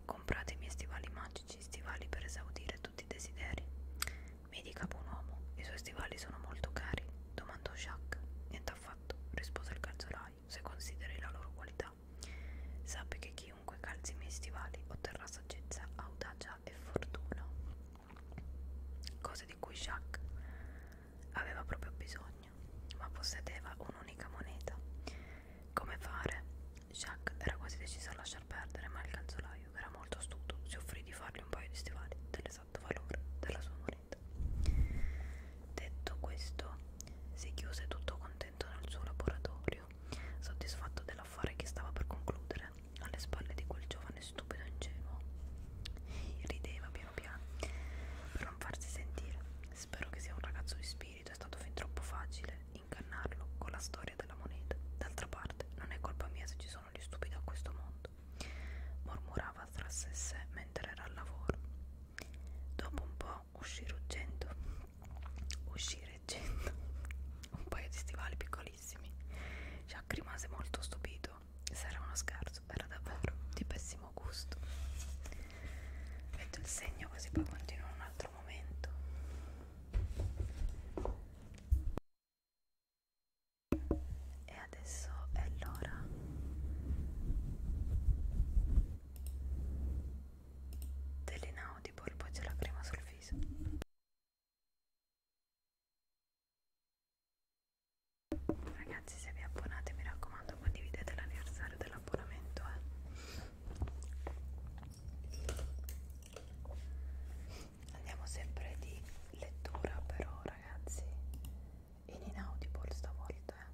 Comprate i miei stivali magici, stivali per esaudire tutti i desideri. Mi dica, buon uomo, i suoi stivali sono molto cari? domandò Jacques. Niente affatto, rispose il calzolaio. Se consideri la loro qualità, saggezza. Sappi che chiunque calzi i miei stivali otterrà saggezza, audacia e fortuna. Cose di cui Jacques aveva proprio bisogno, ma possedeva un'unica moneta. Come fare? Jacques era quasi deciso a lasciar perdere, ma il calzolaio, che era molto astuto, si offrì di fargli un paio di stivali dell'esatto valore della sua moneta. Detto questo, si chiuse tutto contento contento nel suo laboratorio, soddisfatto dell'affare che stava per concludere, alle spalle di quel giovane stupido ingenuo. Rideva piano piano, per non farsi sentire. Spero che sia un ragazzo di spirito, è stato fin troppo facile ingannarlo con la storia della moneta. D'altra parte, non è colpa mia se ci sono gli stupidi a questo mondo, mormorava tra sé e sé mentre era al lavoro. Dopo un po' no, uscire urgente uscire urgente un paio di stivali piccolissimi Jack rimase molto stupito se era uno scherzo, era davvero di pessimo gusto metto il segno così poi continuo un altro momento e adesso è l'ora dell'inaudible poi c'è la crema sul viso ragazzi se vi abbonate mi raccomando condividete l'anniversario dell'abbonamento eh. andiamo sempre di lettura però ragazzi in inaudible stavolta eh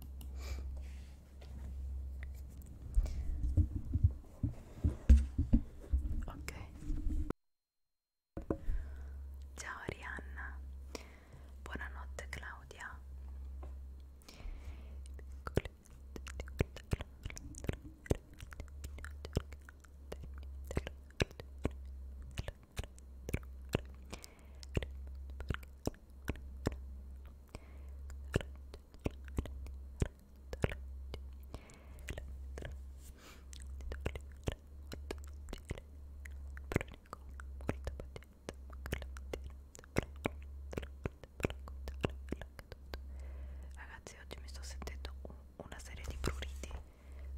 ok ciao Arianna buonanotte Claudia Grazie Ragazzi, oggi mi sto sentendo un, una serie di pruriti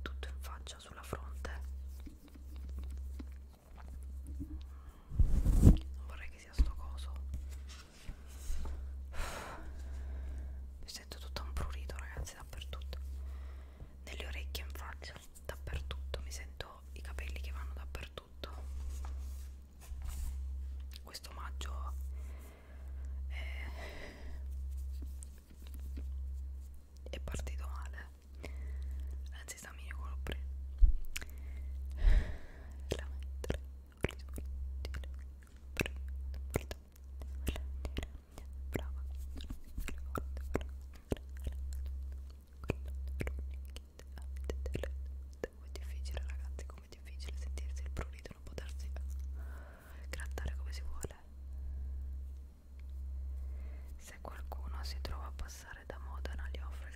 tutto in faccia sulla fronte. Non vorrei che sia sto coso mi sento tutto un prurito ragazzi dappertutto nelle orecchie in faccia dappertutto mi sento i capelli che vanno dappertutto questo omaggio è, è partito male anzi sta meglio quello veramente come è difficile ragazzi, come è difficile sentirsi il prurito e non potersi grattare come si vuole. Se qualcuno si trova a passare da Modena, gli offre il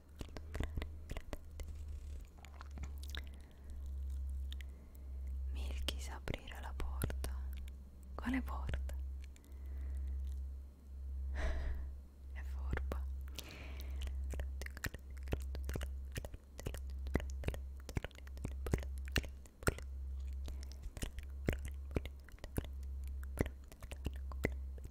Milky sa aprire la porta. Quale porta? È furba. Milky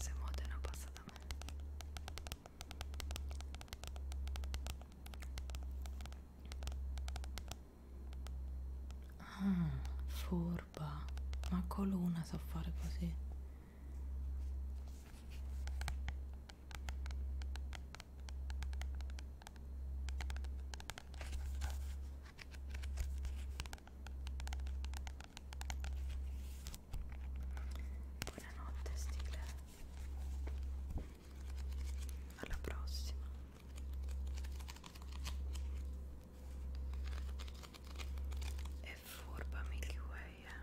Se Modena passa da me Ah, furba Ma con l'una so fare così Buonanotte Stile. Alla prossima. È furba Milky Way, eh?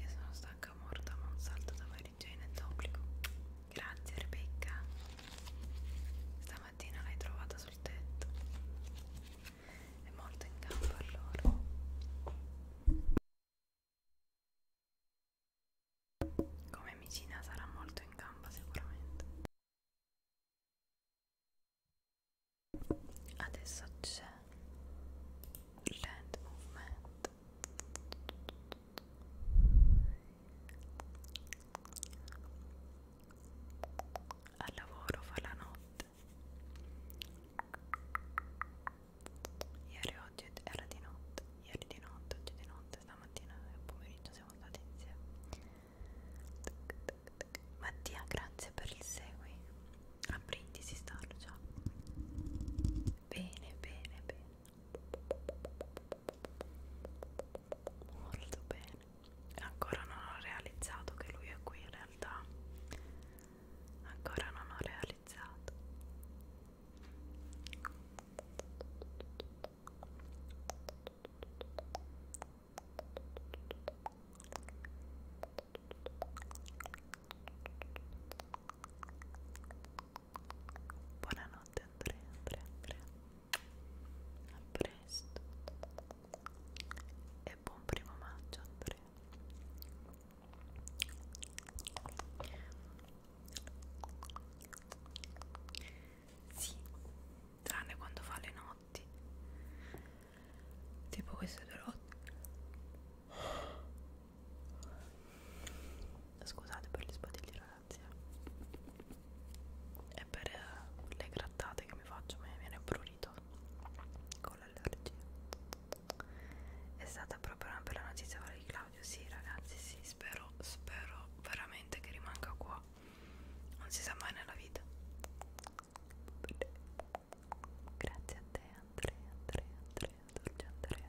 Io sono stanca morta ma un salto da Mary Jane è d'obbligo. Grazie Rebecca. Stamattina l'hai trovata sul tetto. È molto in campo allora. Come vicina sarà molto in gamba sicuramente. Adesso c'è il land movement al lavoro fa la notte ieri oggi era di notte ieri di notte oggi di notte stamattina e pomeriggio siamo stati insieme Mattia grazie per il segui a brindisi starlo già bene bene bene molto bene ancora non ho realizzato che lui è qui in realtà ancora non ho realizzato Buonanotte Andrea, Andrea, Andrea. A presto. E buon primo maggio Andrea. Sì, tranne quando fa le notti. Tipo queste due notti. Scusate per gli sbadigli ragazzi eh. E per eh, le grattate che mi faccio mi viene prurito con l'allergia È stata proprio una bella notizia quella di Claudio Sì ragazzi sì spero, spero veramente che rimanga qua Non si sa mai nella vita Grazie a te Andrea, Andrea, Andrea, dolce Andrea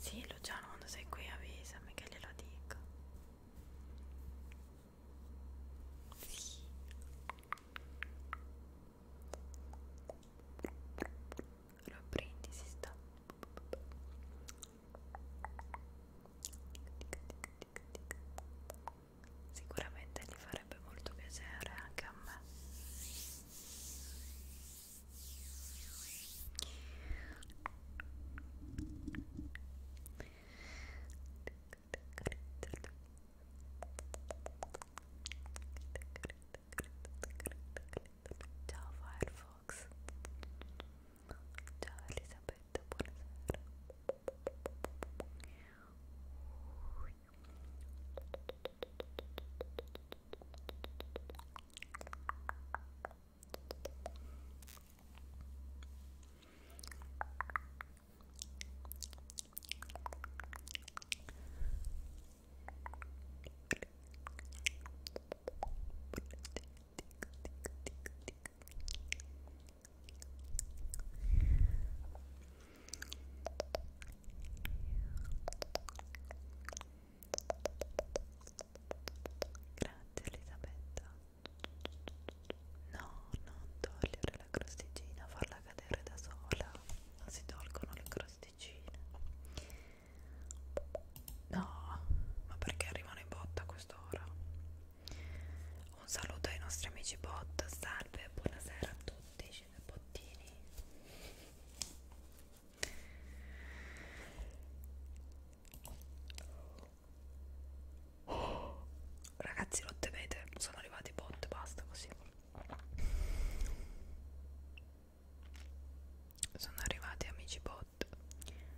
Sì, Luciano, quando sei qui avvisami che glielo dico. Sì lo prendi si sta sicuramente gli farebbe molto piacere anche a me Ciao Firefox. Ciao Elisabetta, buonasera. Grazie Elisabetta. No, non togliere la crosticina, farla cadere da sola. Non si tolgono le crosticine pasticcine no ma perché arrivano in botta a quest'ora un saluto ai nostri amici bot salve buonasera a tutti cinepottini oh, ragazzi lo temete sono arrivati i bot basta così sono arrivati amici bot buonasera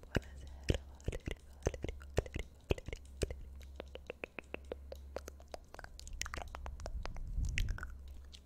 Valeria Valeria Valeria Valeria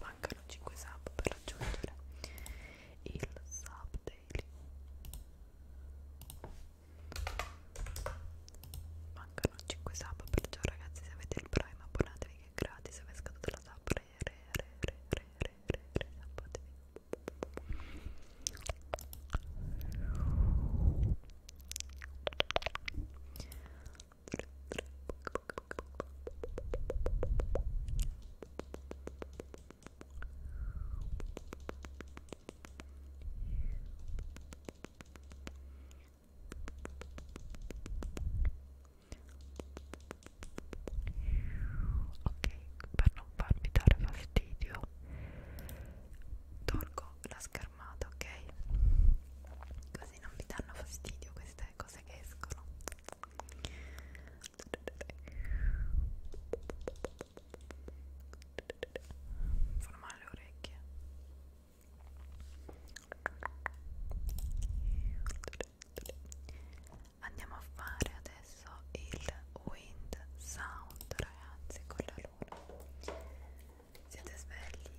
Mancano 5 sub per raggiungere il sub daily. Mancano 5 sub perciò ragazzi se avete il prime abbonatevi che è gratis, se vi è scaduta la sub re re re re re re re re abbonatevi. Ok, per non farmi dare fastidio, tolgo la scatola schermata, ok? Così non vi danno fastidio queste cose che escono. Fanno male le orecchie. Andiamo a fare adesso il wind sound, ragazzi, con la luna. Siete svegli? Io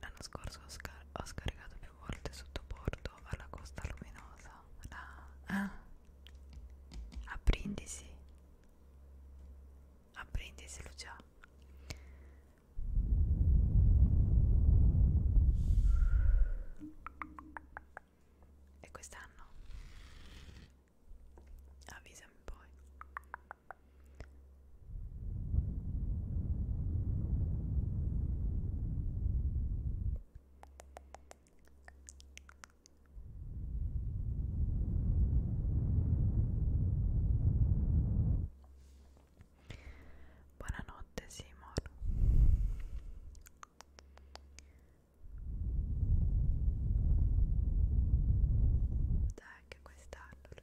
L'anno scorso ho, scar ho scaricato più volte sotto porto alla Costa Luminosa, la... ah. a Brindisi, a Brindisi Lucia. E quest'anno avvisami poi Buonanotte Simon. Dai che quest'anno lo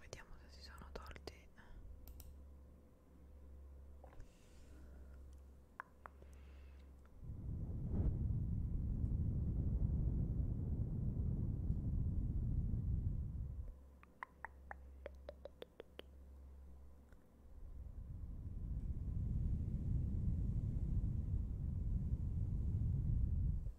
Vediamo se si sono tolti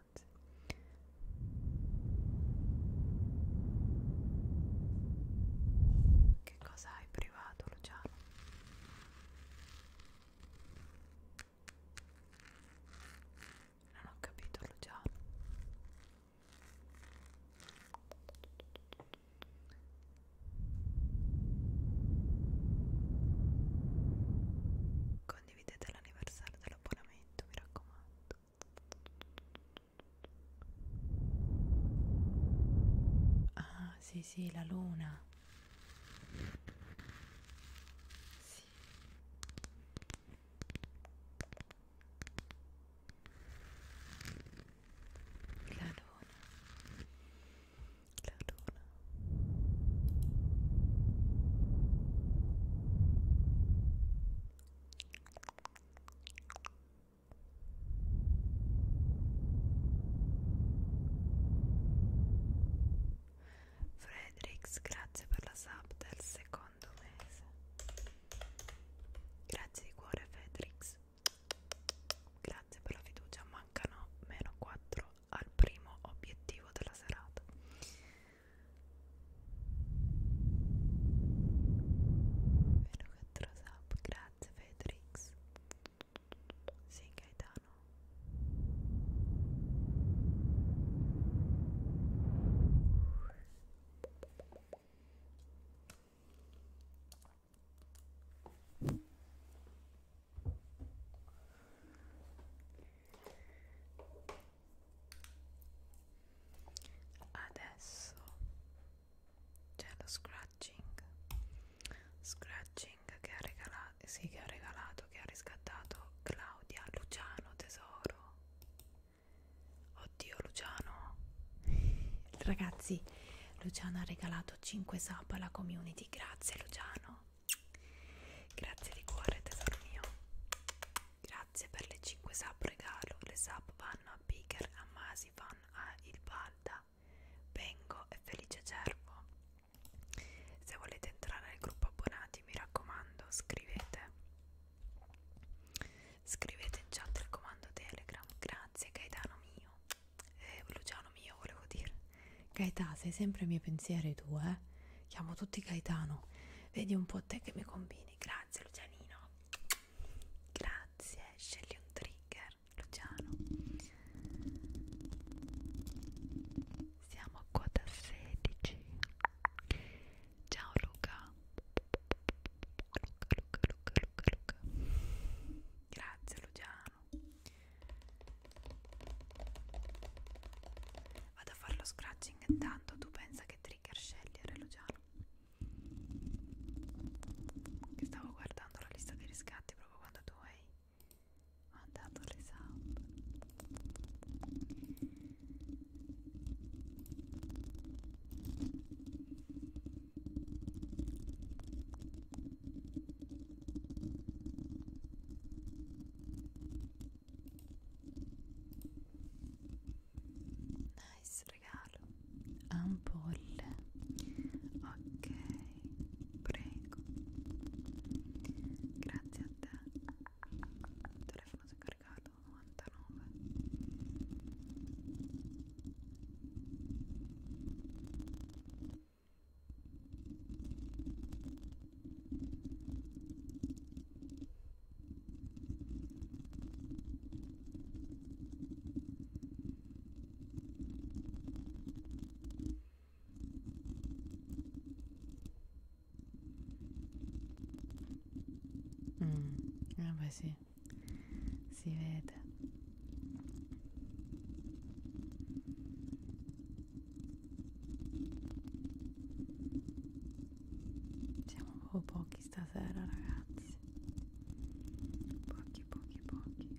piace che cosa hai privato Luciano? non ho capito Luciano condividete l'anniversario dell'abbonamento, mi raccomando. Ah, sì, sì, la luna. Sì. La luna. La luna. Fredericks, grazie per la sub del secondo mese. Grazie di cuore Fredericks. Grazie per la fiducia, mancano meno 4 al primo obiettivo della serata. Vero che trasap, grazie Fedrix. Sì, Gaetano adesso c'è lo scratching scratching che ha regalato sì che ha regalato che ha riscattato Claudia Luciano tesoro oddio Luciano ragazzi Luciano ha regalato 5 sub alla community grazie Luciano Grazie di cuore tesoro mio. Grazie per le 5 sub regalo. Le sub vanno a Piker, a Masi, vanno a Il Balda, Bengo e Felice Cervo. Se volete entrare nel gruppo abbonati mi raccomando scrivete. Scrivete in chat il comando Telegram. Grazie Gaetano mio. Eh, Luciano mio volevo dire. Gaetà sei sempre i miei pensieri tu eh chiamo tutti Gaetano vedi un po' te che mi combini grazie Lucianino grazie scegli un trigger Luciano siamo a quota 16 ciao Luca Luca Luca Luca Luca Luca grazie Luciano Vado a fare lo scratching intanto tu pensa che trigger scegliere Luciano Che stavo guardando la lista dei riscatti proprio quando tu hai mandato le sound Nice regalo. Ampolle. Ok, prego. Grazie a te. Il telefono si è caricato 99. Mm, vabbè sì, si vede siamo proprio pochi stasera ragazzi. Pochi, pochi, pochi.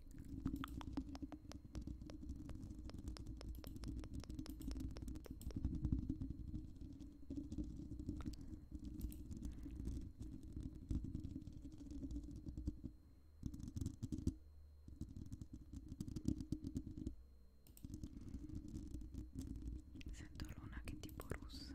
Sento l'una che tipo russa.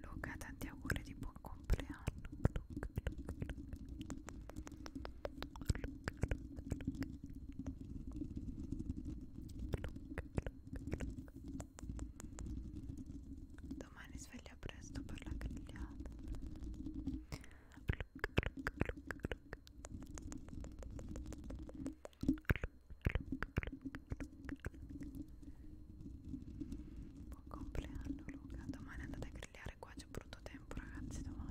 Luca tanti auguri di buon compleanno Luca, Luca, Luca. Luca, Luca, Luca. Luca, Luca, Luca domani sveglia presto per la grigliata buon compleanno Luca domani andate a grigliare qua c'è brutto tempo ragazzi domani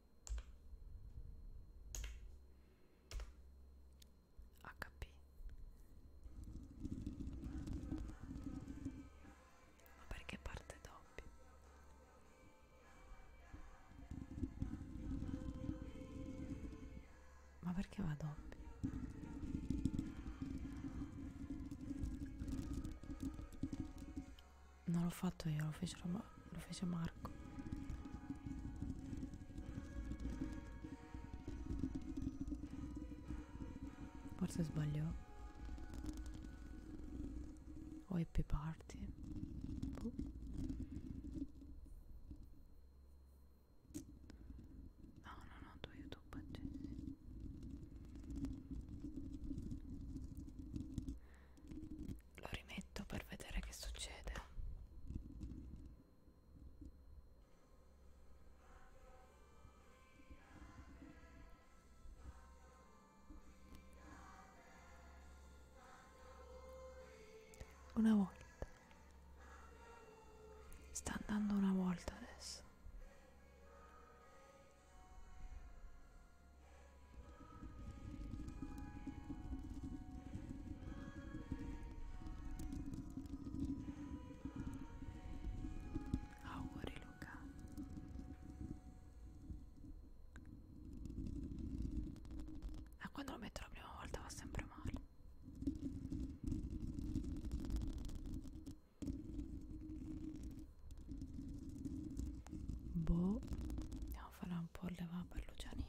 HP ma perché parte doppio? ma perché va doppio? non l'ho fatto io, lo, fecero, lo fece Marco. Forse sbaglio. O happy party. Puh. Boh. No, no, no, tu YouTube accesi lo rimetto per vedere che succede una volta sta andando una volta adesso Auguri Luca Ma ah, quando lo metto la prima volta va sempre male Boh andiamo a fare un po' il leva per Lucianino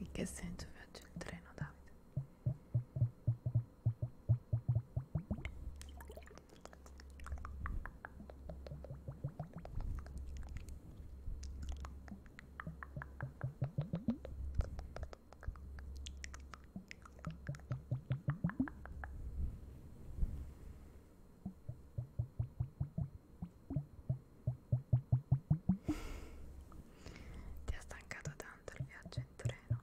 In che senso viaggia il treno, Davide? Ti ha stancato tanto il viaggio in treno?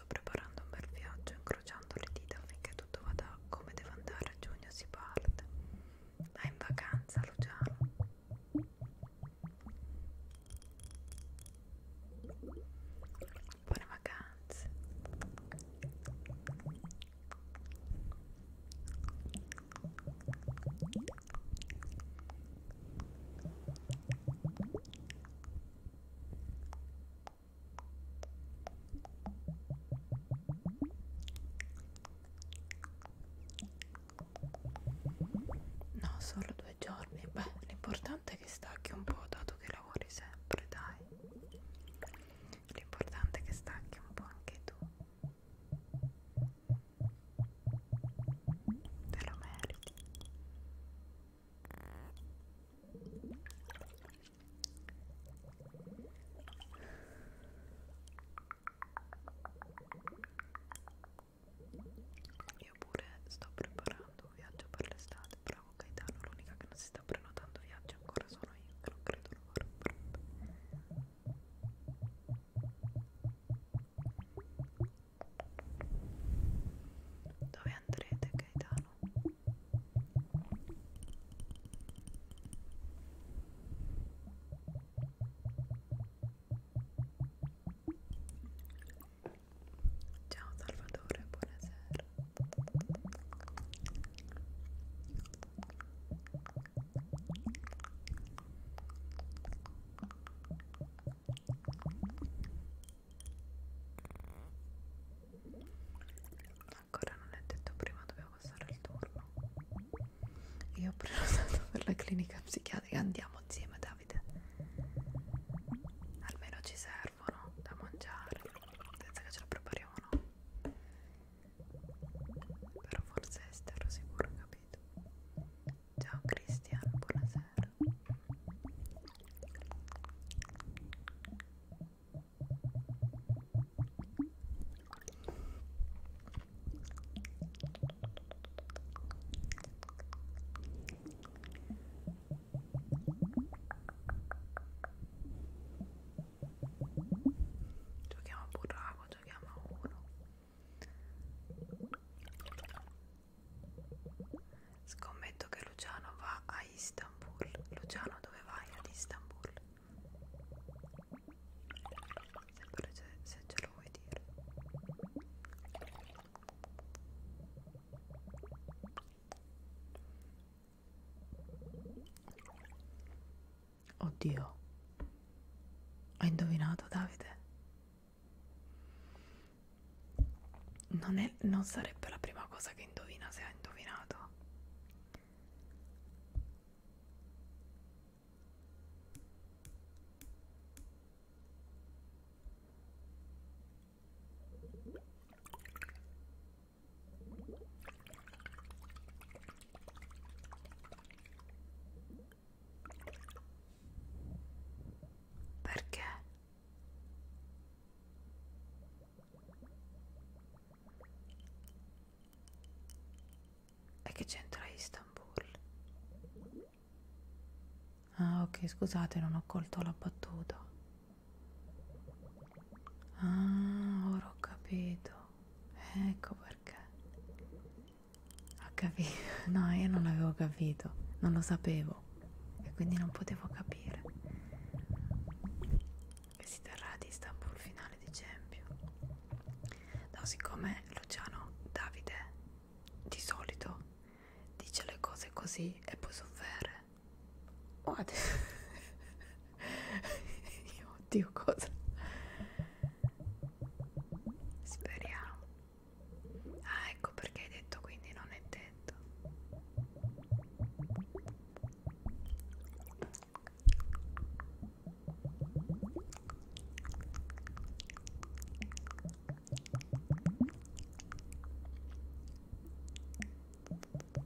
sto preparando un bel viaggio incrociando le dita affinché tutto vada come deve andare a giugno si parte è ah, in vacanza Luciano buone vacanze No, solo due giorni. Beh, l'importante è che stacchi un po', dato che lavori sempre, dai. L'importante è che stacchi un po' anche tu. Te lo meriti. Io pure sto preparando un viaggio per l'estate, bravo Gaetano, l'unica che non si sta prenotando viaggi ancora sono io, che non credo lo farò pronto. Dove andrete Gaetano Ciao Salvatore, buonasera Ancora non è detto prima dobbiamo passare il turno. Io ho prenotato per la clinica psichiatrica. Andiamo insieme, Davide. Almeno ci servono da mangiare. Senza che ce la prepariamo, no? Però forse Esther, sicuro, capito. Ciao Cristian, buonasera. 저기 아마 보라하고 저기 아마 오로. Scommetto che Luciano va a Istanbul. Luciano, dove vai ad Istanbul? Sempre se ce lo vuoi dire. Oddio, hai indovinato Davide? non, è, non sarebbe la prima cosa che indovina se ha indovinato. Perché? E che c'entra Istanbul? Ah, ok, scusate, non ho colto la battuta. Ah, ora ho capito. Ecco perché. Ho capito. No, io non l'avevo capito, non lo sapevo vivo e quindi non potevo capire che si terrà ad Istanbul il finale di Champions no siccome Luciano Davide di solito dice le cose così e poi soffere oh, io oddio cosa speriamo ah ecco perché hai detto quindi non è detto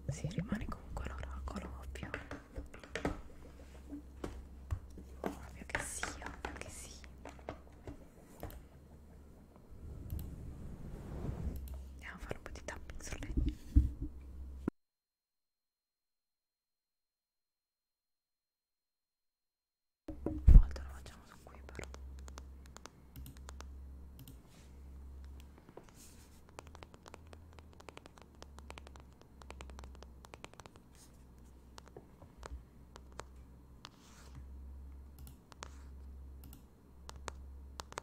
si rimane comunque l'oracolo ovvio ovvio che sì, ovvio che sì andiamo a fare un po' di tapping su lei una volta lo facciamo su qui però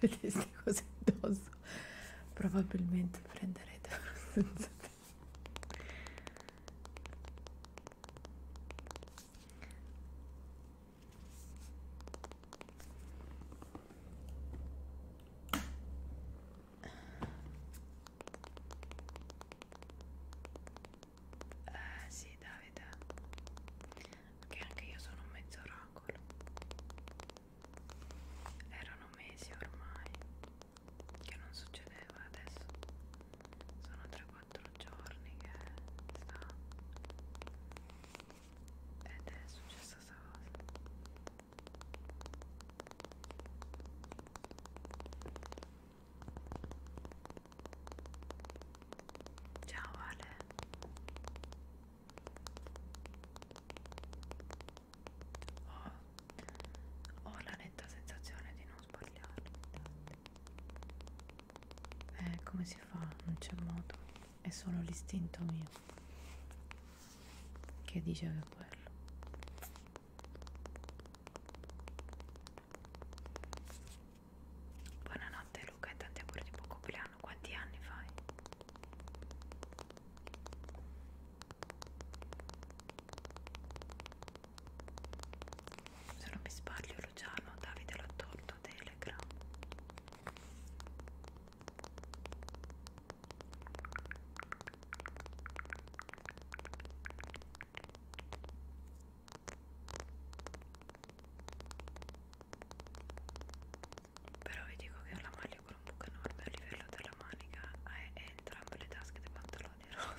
Se vedeste cose addosso, probabilmente prenderete una sensazione. Eh sì Davide Che anche io sono un mezzo oracolo Erano mesi ormai Che non succedeva adesso Sono 3-4 giorni che sta ed è successa questa cosa ciao Ale ho, ho la netta sensazione di non sbagliare eh, come si fa? Non c'è modo è solo l'istinto mio che dice che è quello buonanotte Luca e tanti auguri di buon compleanno quanti anni fai? se non mi sbaglio Luciano Davide l'ha tolto Telegram però vi dico che la manica un buco enorme a livello della manica e entrambe le tasche dei pantaloni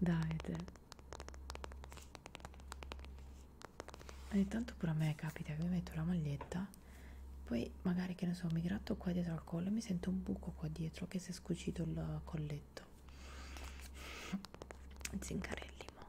dai te ogni tanto pure a me capita che mi metto la maglietta poi magari che ne so mi gratto qua dietro al collo e mi sento un buco qua dietro che si è scucito il colletto zincarelli mod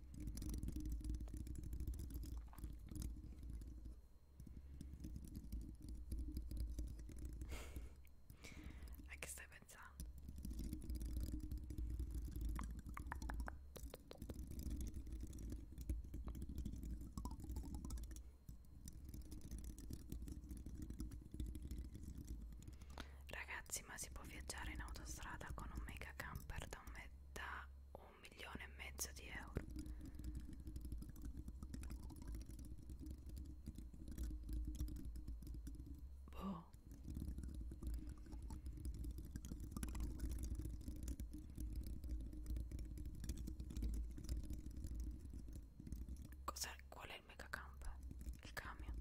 A che stai pensando? Ragazzi, ma si può viaggiare in autostrada con un mega camper? da un, me da un milione e mezzo di euro boh Cos'è? Qual è il mega camper? Il camion?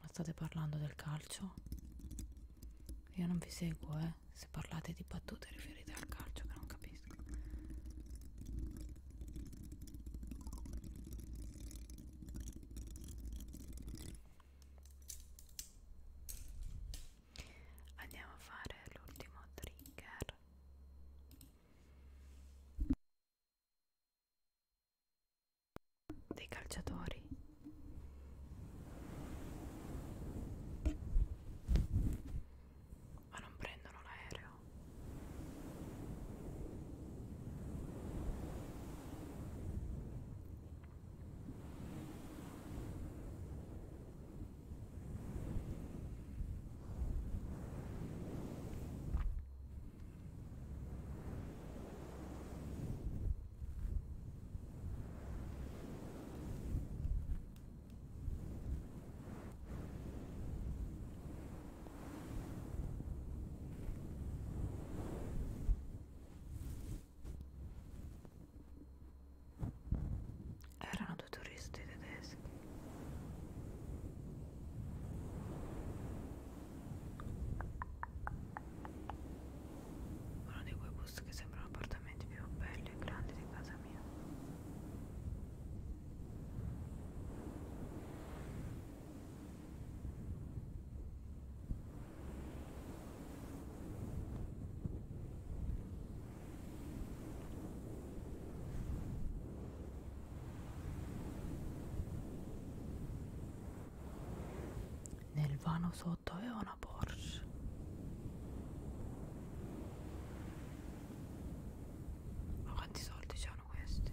Ma state parlando del calcio? Io non vi seguo, eh. Se parlate di battute riferite al calcio che non capisco. Andiamo a fare l'ultimo trigger dei calciatori ma non prendono l'aereo erano soltanto turisti tedeschi uno di quei bus che sembrano appartamenti più belli e grandi di casa mia nel vano sotto aveva una Porsche. Ma quanti soldi c'hanno questi?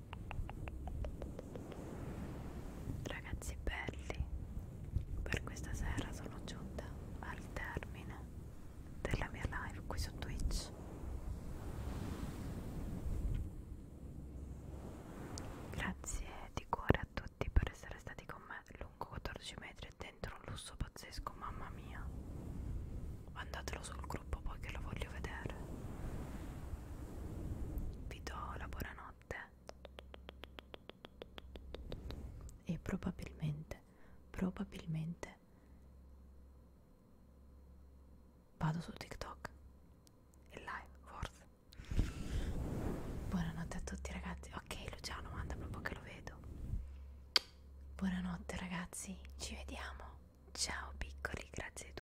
Ragazzi belli, per questa sera sono giunta al termine della mia live qui su Twitch. Grazie di cuore a tutti per essere stati con me lungo 14 metri e dentro un lusso pazzesco, mamma mia. Mandatelo sul gruppo poi che lo voglio vedere vi do la buonanotte e probabilmente probabilmente vado su TikTok e live forse buonanotte a tutti ragazzi ok Luciano manda proprio che lo vedo buonanotte ragazzi ci vediamo ciao piccoli grazie a tutti